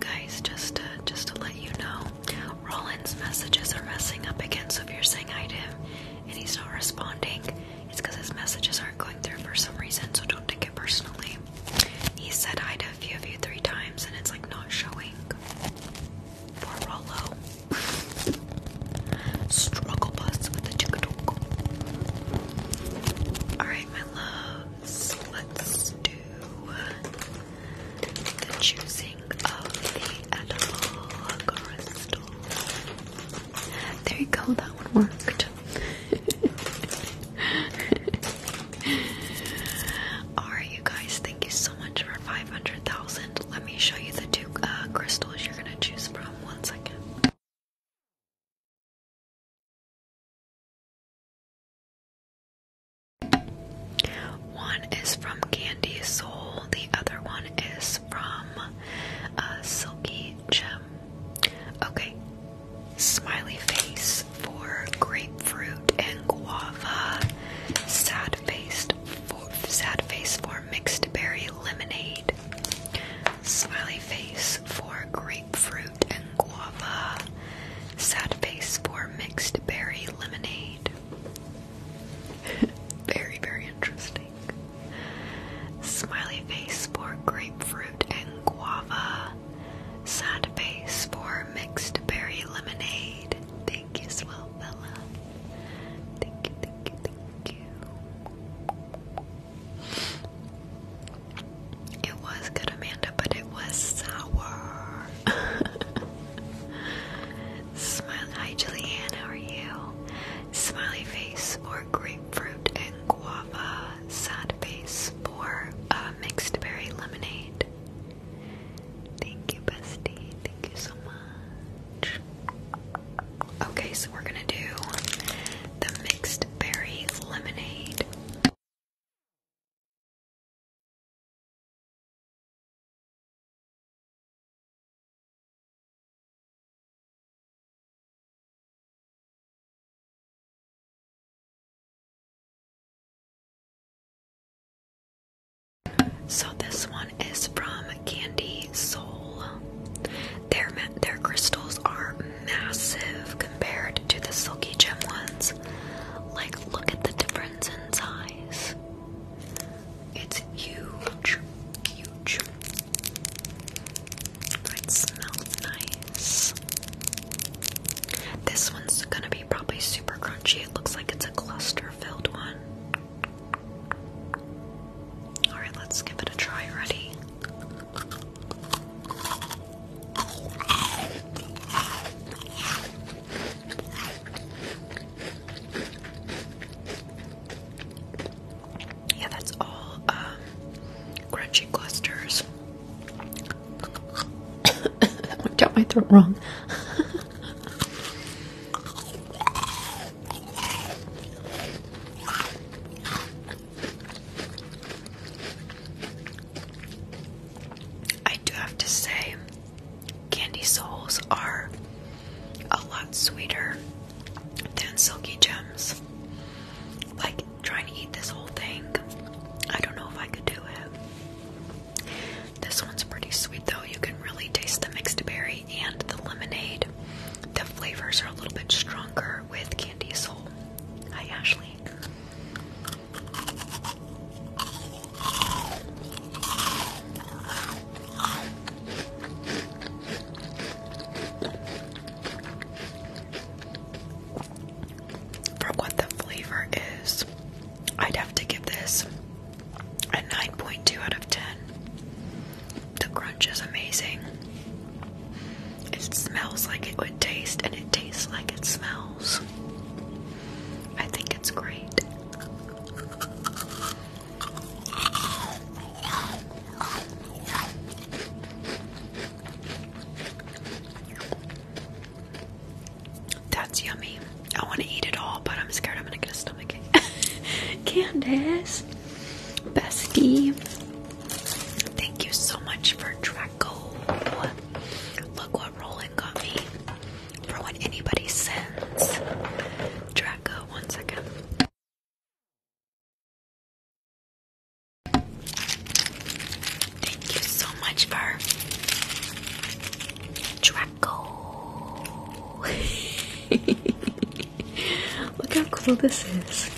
Guys, just just to let you know, Roland's messages are messing up again, so if you're saying hi to him and he's not responding, it's because his messages aren't going through for some reason, so don't take it personally. He said hi to a few of you three times, and it's like not showing for Rollo. Struggle bus with the chicken Alright, my loves, let's do the choosing of the edible crystal. There you go, that one worked. Alright, you guys, thank you so much for 500,000. Let me show you the two uh, crystals you're gonna choose from. One second. One is from Candy Soul, the other one is from uh, Silky Gem. Okay, smiley face for grapefruit and guava, sad faced sad face for mixed berry lemonade, smiley face for grapefruit guava. Sad face for mixed berry lemonade. very, very interesting. Smiley face for grapefruit and guava. Sad face for mixed berry lemonade. Thank you, swell fella. Thank you, thank you, thank you. It was good, Amanda, but it was sour. Hi, Julianne. How are you? Smiley face or grapefruit and guava. Sad face or uh, mixed berry lemonade. Thank you, bestie. Thank you so much. Okay, so we're gonna do the mixed berry lemonade. So this one is from Candy Soul. Their their crystals are massive compared to the silky gem ones. Like, look at the difference in size. It's huge, huge. It smells nice. This one's gonna be probably super crunchy. It looks like it's a cluster filled one. Alright, let's give it a try. Ready? Yeah, that's all um, crunchy clusters. that went down my throat wrong. I do have to say, Candy souls are a lot sweeter than silky gems. Like trying to eat this whole thing, I don't know if I could do it. This one's pretty sweet though. You can really taste the mixed berry and the lemonade. The flavors are a little bit stronger with candy soul. Hi Ashley. For what the flavor is, I'd have to give this a 9.2 out of 10. The crunch is amazing. It smells like it would taste, and it tastes like it smells. I think it's great. That's yummy. I want to eat it all, but I'm scared I'm gonna get a stomachache. Candace, bestie, thank you so much for Draco. Look what Roland got me for when anybody sends Draco. One second. Thank you so much for Draco. Look how cool this is.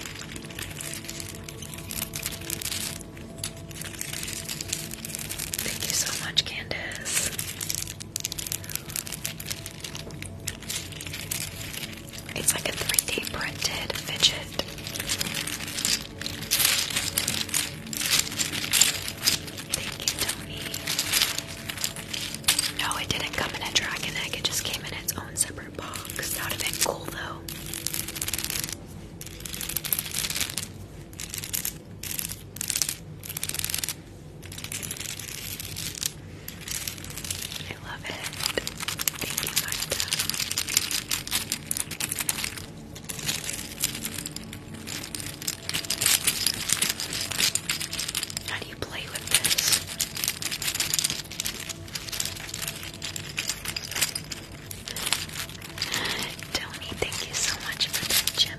Thank you so much, Candace. It's like a 3D printed fidget. Thank you, Tony. No, it didn't come in a dragon egg, it just came in its own separate box. That would have cool, though. I love it. Thank you, Marta. How do you play with this? Tony, thank you so much for that gem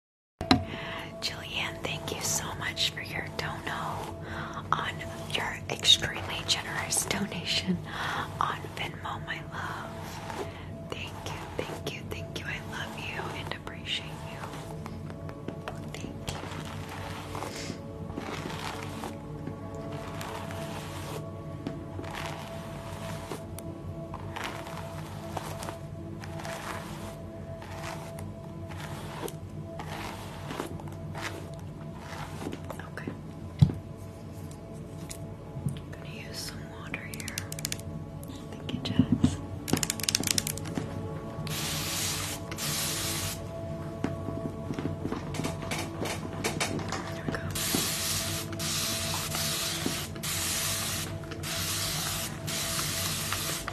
Jillian, thank you so much for your dono on your extremely generous donation on Venmo, my love. Thank you, thank you, thank you. I love you and appreciate you. Thank you. Okay. gonna use some water here. Thank you, Jax. There we go.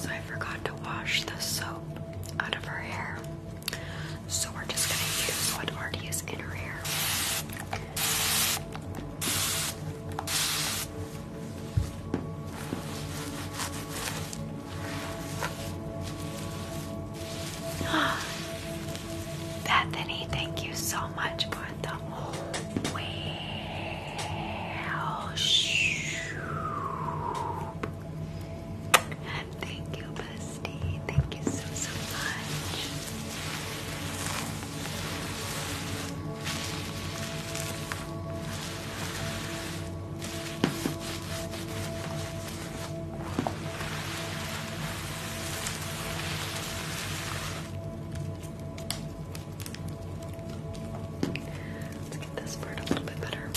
So I forgot to wash the soap out of her hair. So we're just going to use what already is in her hair. Bethany, thank you so much for the whale. Thank you, Bestie. Thank you so, so much. Let's get this part a little bit better. Okay,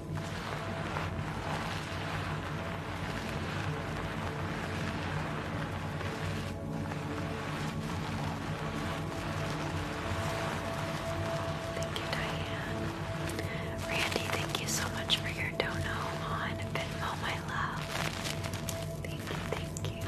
Thank you, Diane. Randy, thank you so much for your dono on Venmo, my love. Thank you, thank you.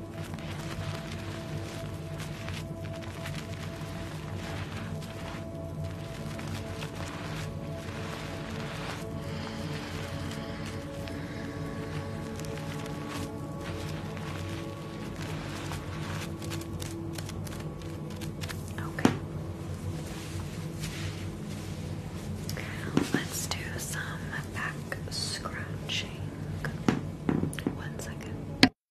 Okay. Let's do some back scratching. One second.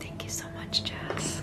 Thank you so much, Jess.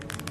Thank you, Jess.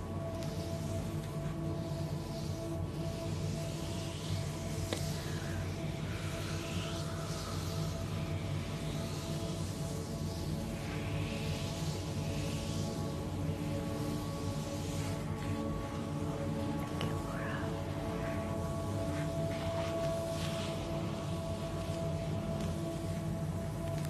Thank you, Laura.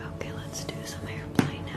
Okay, let's do some airplane now.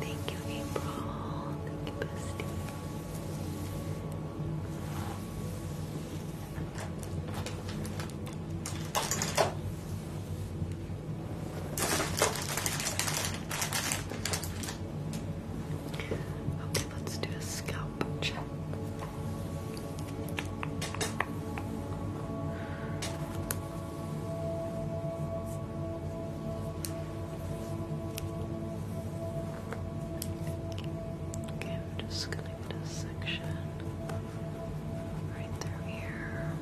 Thank you, April. Thank you, Bestie. Okay, let's do a scalp check. Okay, I'm just gonna get a section right through here.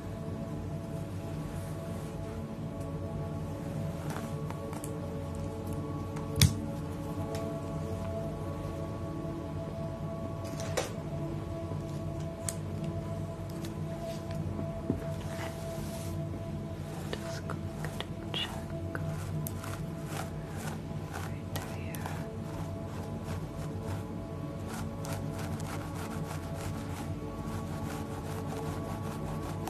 Just going to check right there. Okay.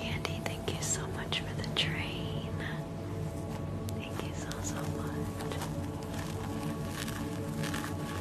Andy, thank you so much for the train. Thank you so, so much.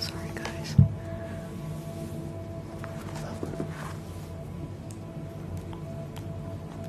Sorry, guys.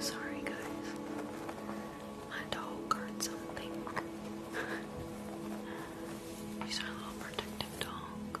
Sorry, guys. My dog heard something. He's our little protective dog.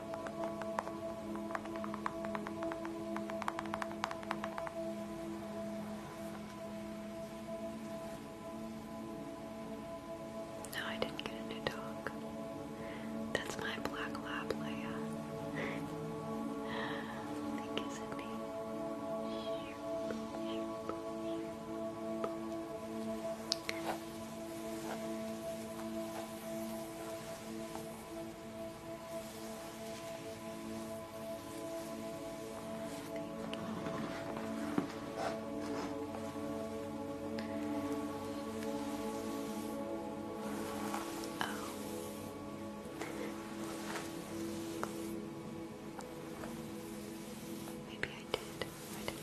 No, I didn't get a new dog. That's my black lab, Leia. Thank you, Sydney. Maybe I did. I didn't mean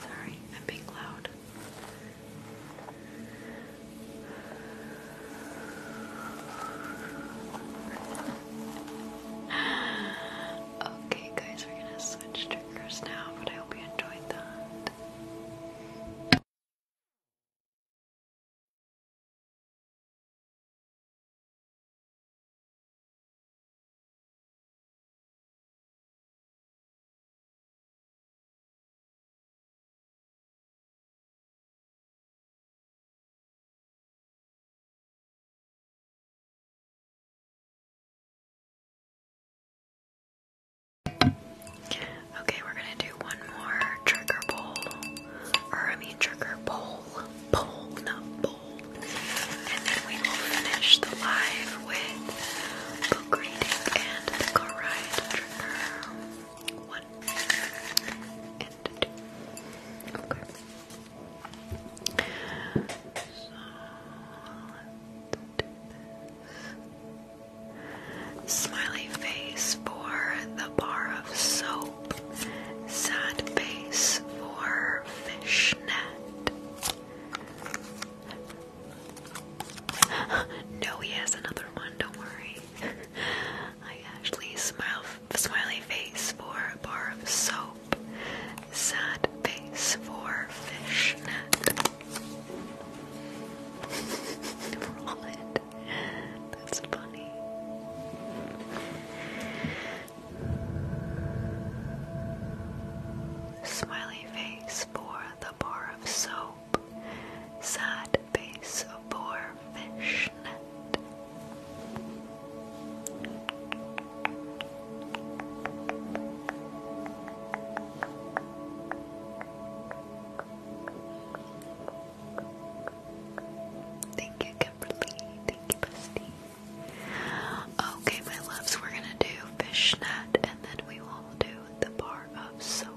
Sorry, I'm being loud. Okay, guys, we're gonna switch triggers now, but I hope you enjoyed that. Okay, we're gonna do one more trigger bowl, or I mean trigger bowl, bowl, not bowl, and then we will finish the live with book reading and the car trigger. One and two. Okay. Smiley face for the bar of soap. Sad face for fishnet. no, he has another one, don't worry. I actually smiley face for a bar of soap, sad face for fishnet. Roll That's funny. Smiley face for the bar of soap. Sad side of poor fishnet. Thank you, Kimberly. Thank you, Busty. Okay, my loves, we're gonna do fishnet and then we will do the bar of soap.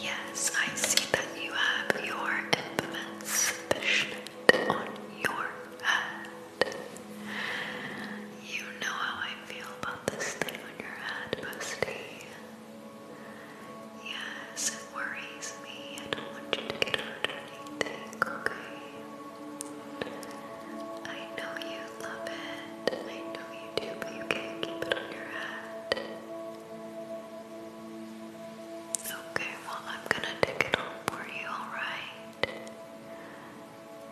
Yes, I see that you have your infamous fishnet on your head. You know how I feel about this thing on your head, Busty. Yes, it worries me. I don't want you to get hurt or okay? I know you love it hand. I know you do, but you can't keep it on your hand. Okay, well, I'm gonna take it on for you, alright?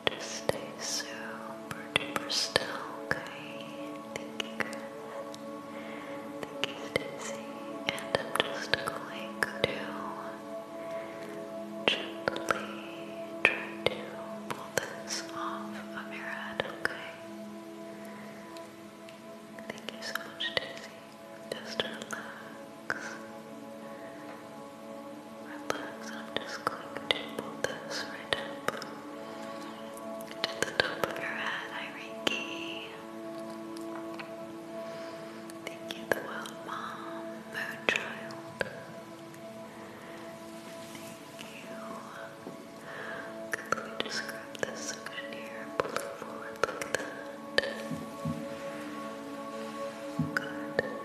Just stay super duper still, okay? Thank you, guys. Thank And I'm just going to gently try to pull this off of your head, okay? Thank you so much, Daisy. Just relax. Relax. I'm just going to pull this right up to the top of your head, Iriki. Thank you, the world mom, moon child you. Could we just grab this section here and pull it forward like that? Good. Just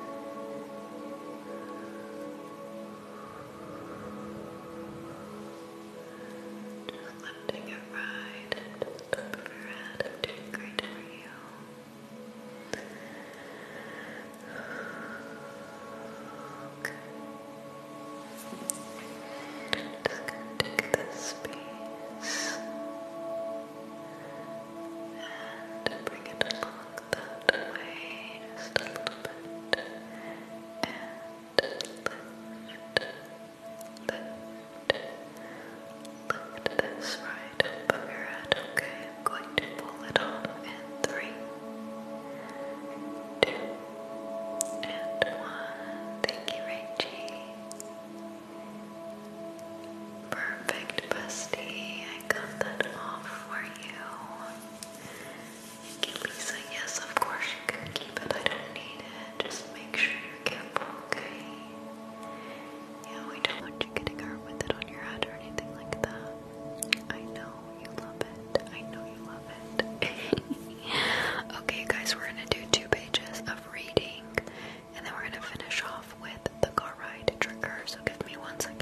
lifting it right and to the top of your head. I'm doing great for you. Okay. Just gonna take this piece and bring it along that way just a little bit and lift, lift, lift this right above your okay? I'm going to pull it off in three, two, and one. Thank you, Reggie. Perfect, Busty. I got that off for you. Thank you, Lisa. Yes, of course you can keep it. I don't need it. Just make sure you're careful, okay? Yeah, we don't want you getting hurt with it on your head or anything like that. okay, guys, we're gonna do two pages of reading and then we're gonna finish off with the car ride trigger. So give me one second.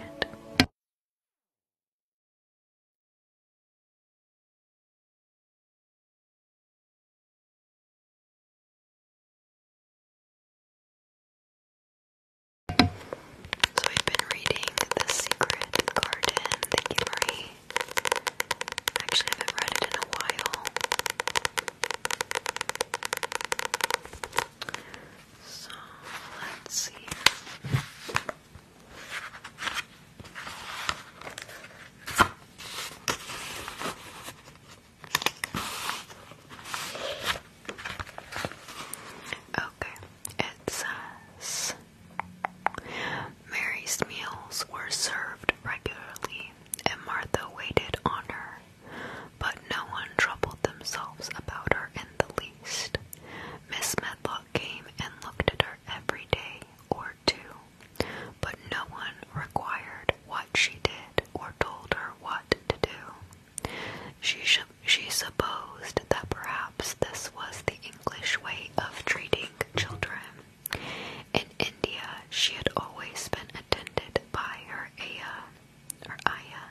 So i have been reading The Secret Garden. Thank you, Marie. Actually, I haven't read it in a while. So let's see. Okay, it says Mary's meals were served regularly, and Martha waited on her, but no one troubled themselves about her in the least. Miss Medlock came and looked at her every day or two, but no one required what she did or told her what to do. She, she supposed that perhaps this was the English way of treating children. In India, she had always been attended by her Aya, or Aya,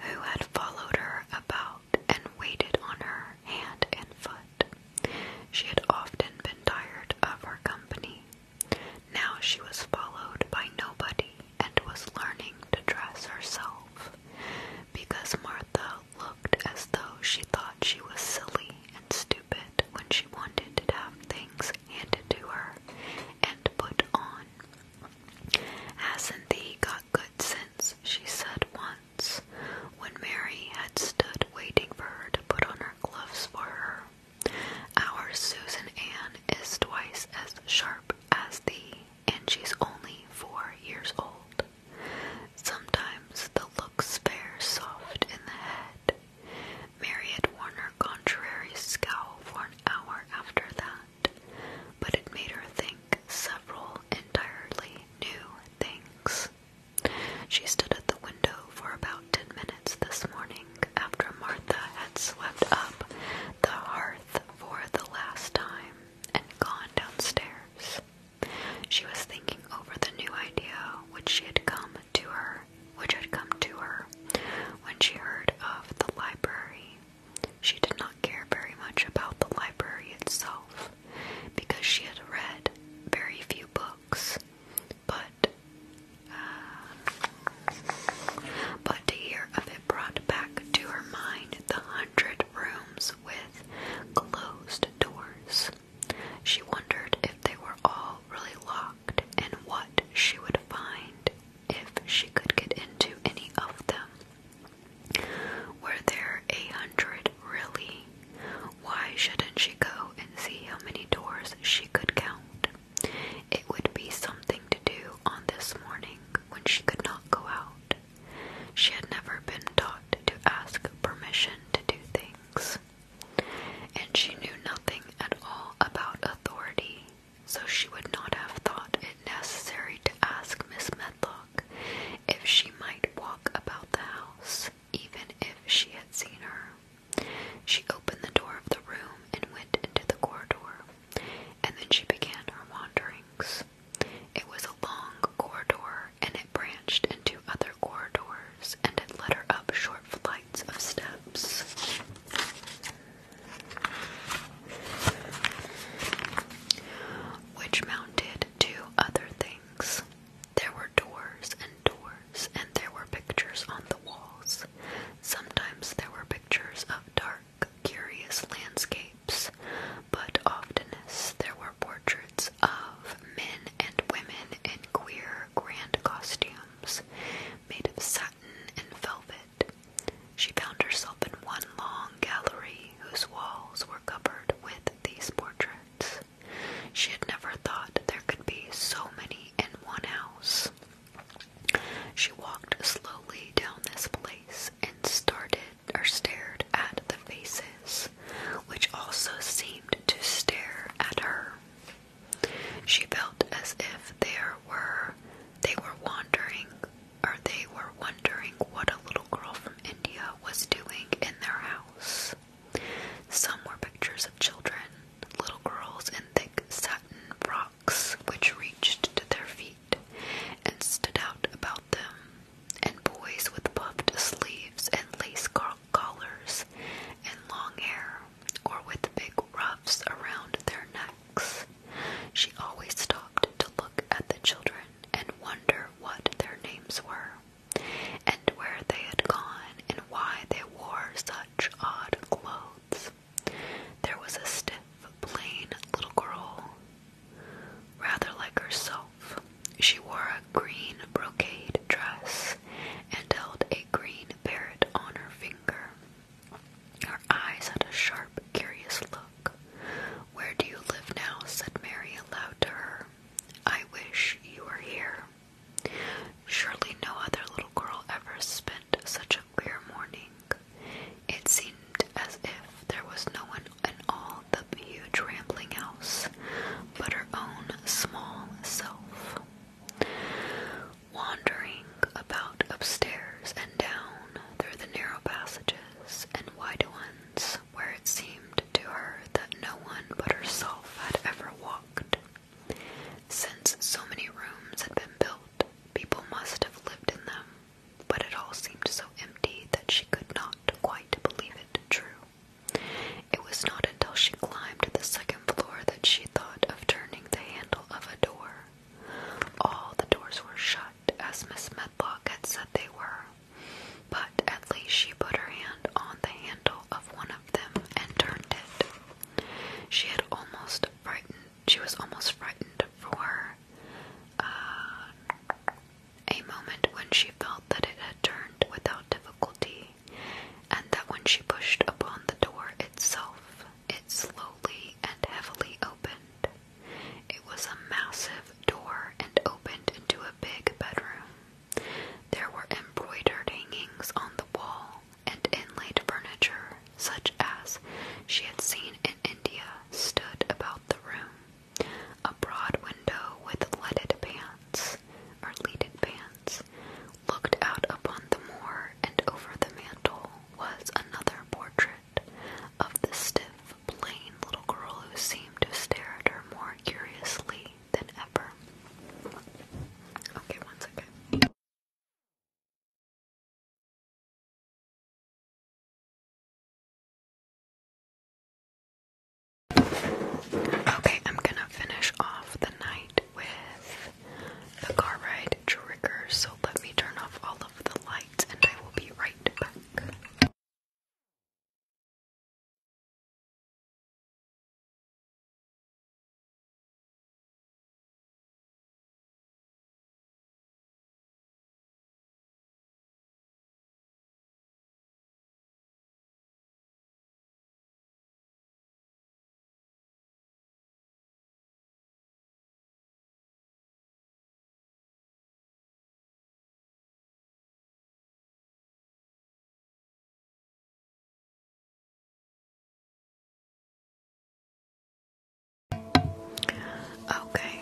who had followed her about and waited on her hand and foot. She had often been tired of her company. Now she was followed by nobody and was learning to dress herself. Because Martha looked as though she thought she was silly and stupid when she wanted to have things handed to her and put on. Hasn't thee got good sense? she said once, when Mary had stood waiting for her to put on her gloves for her. Our Susan Ann is twice as sharp as thee, and she's only four years old. Sometimes the looks fair soft in the head. Marriott Warner contrary scowl for an hour after that, but it made her think several entirely new things. She stood at the window for about ten minutes this morning after Martha had swept up the hearth for the last time and gone downstairs. She was thinking over the new idea which she had come to her, which had come to her when she heard of the library. She did not care very much about the library itself because she had read very few books, but uh, but to hear of it brought back to her mind the hundred rooms with closed doors. She wondered if they were all really locked and what she would find if she could get into any of them. Were there a hundred really? Why shouldn't she go and see how many doors she could count? It would be something to do on this morning when she could not go out. She had never been taught to ask permission to do things, and she knew nothing at all about authority, so she would not have thought it necessary to ask Miss Medlock if she might walk about the house, even if she had seen her. She opened the door of the room and went into the corridor, and then she began her wanderings. It was a long corridor, and it branched into other corridors, and it led her up short flights of steps. Which mounted to other things. There were doors and doors, and there were pictures on the walls. Sometimes there were pictures of dark, curious landscapes, but oftenest there were portraits of men and women in queer grand costumes made of satin and velvet. She found herself in one long gallery whose walls were covered with these portraits. She had never thought there could be so many in one house. She walked slowly down this place and started or stared at the faces, which also seemed to stare at her. She felt as if there were they were wandering or they were wondering what a little girl from India was doing in their house. Some were pictures of children, little girls in thick satin frocks which reached to their feet and stood out about and boys with puffed sleeves and lace collars and long hair, or with big ruffs around their necks. She always stopped to look at the children and wonder what their names were, and where they had gone, and why they wore such odd clothes. There was a stiff, plain little girl Rather like herself, she wore a green brocade dress and held a green parrot on her finger. Her eyes had a sharp, curious look. Where do you live now? said Mary aloud to her. I wish you were here. Surely no other little girl ever spent such a queer morning. It seemed as if there was no one in all the huge rambling house but her own small self. Wandering about upstairs and down through the narrow passages and wide ones where it seemed to her that no one but herself had ever walked. Since so many rooms had been built, people must have lived in them, but it all seemed so empty that she could not quite believe it true. It was not until she climbed to the second floor that she thought of turning the handle of a door. All the doors were shut, as Miss Medlock had said they were, but at least she put her hand on the handle of one of them and turned it. She had almost frightened. She was almost frightened for uh, a moment when she felt that it had turned without difficulty, and that when she pushed upon the door itself, it slowly and heavily opened. It was a massive door and opened into a big bedroom. There were embroidered hangings on the wall and inlaid furniture, such as she had seen in India, stood about the room. A broad window with leaded pans, or leaded pans, looked out upon the moor, and over the mantel was another portrait of the stiff, plain little girl who seemed to stare at her more curiously than ever. Okay, one second. Okay, I'm gonna finish off the night with the car ride trigger, so let me turn off all of the lights and I will be right back. Okay,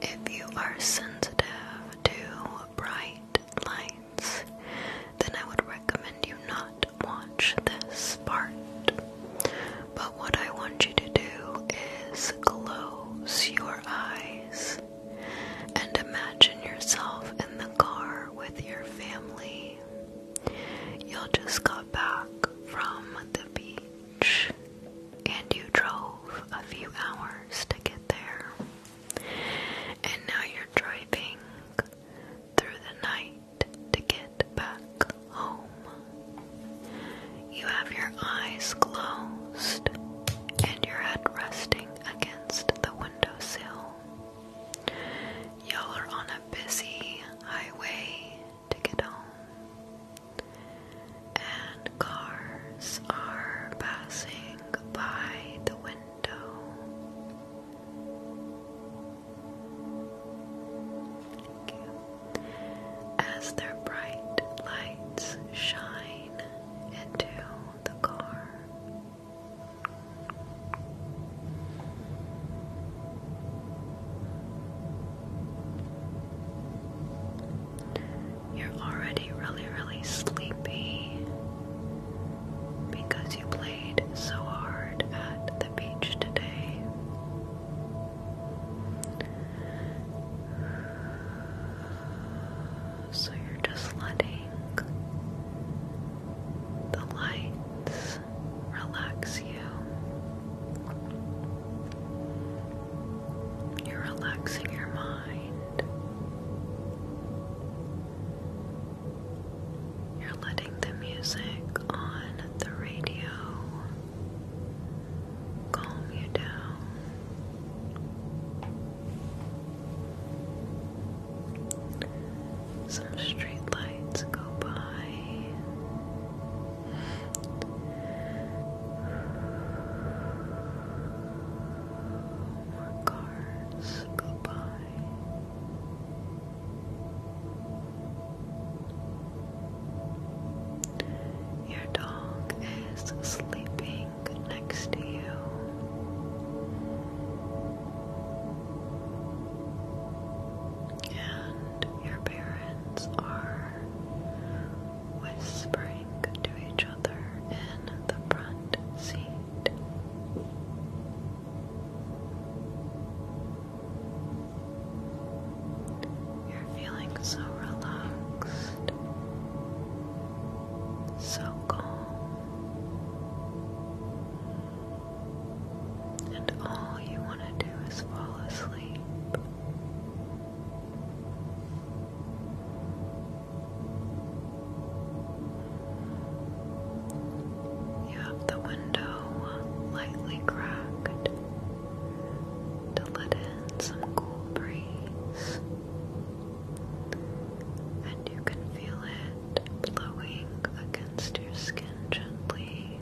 if you are sensitive to bright lights, then I would recommend you not watch this part. But what I want you to do is close your eyes and imagine yourself in the car with your family. Y'all just got back from the beach and you drove a few hours to get there. And now you're driving through the night to get back home. You have your eyes closed and your head resting against the windowsill. Y'all are on a busy highway to get home cars are passing by the window. Thank you. As their bright lights shine into the car. You're already really, really sleepy because you played so hard at the beach today. So you're just letting the lights relax you. You're relaxing your mind. You're letting the music on the radio calm you down. Some street lights go by cars go Your dog is sleeping next to you. And your parents are whispering to each in the front seat. You're feeling so relaxed, so calm, and all you want to do is fall asleep. You have the window lightly cracked to let in some cool breeze, and you can feel it blowing against your skin gently.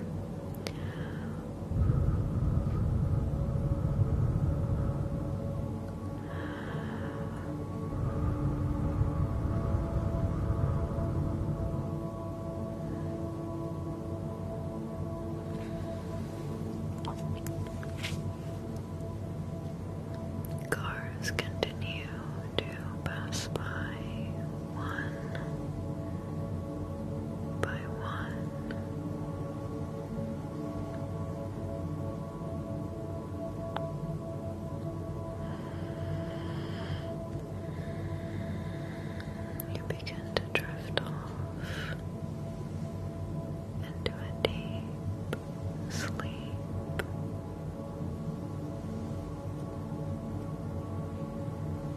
Cars continue to pass by one by one. You begin to drift off into a deep sleep.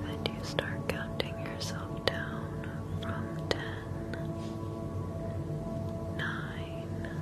And you start counting yourself down from ten, nine,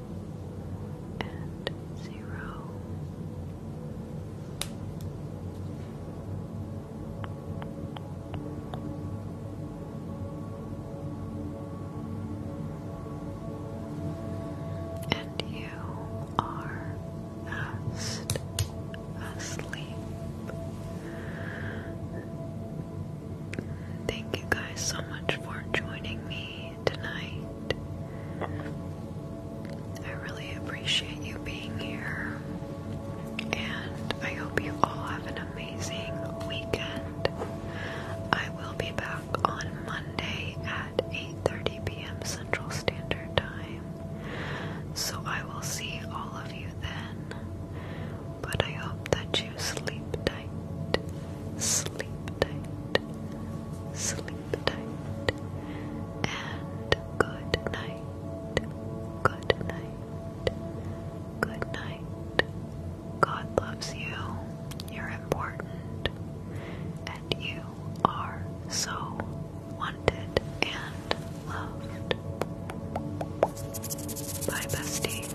and zero. And you are fast asleep. Thank you guys so much for joining me tonight. I really appreciate you being here, and I hope you all have an amazing weekend. I will be back on Monday at 8:30 p.m. Central Standard Time, so I will see all of you then. But I hope that you sleep tight, sleep tight, sleep sleep tight and good night. Good night. Good night. God loves you. You're important. And you are so wanted and loved. Bye, besties.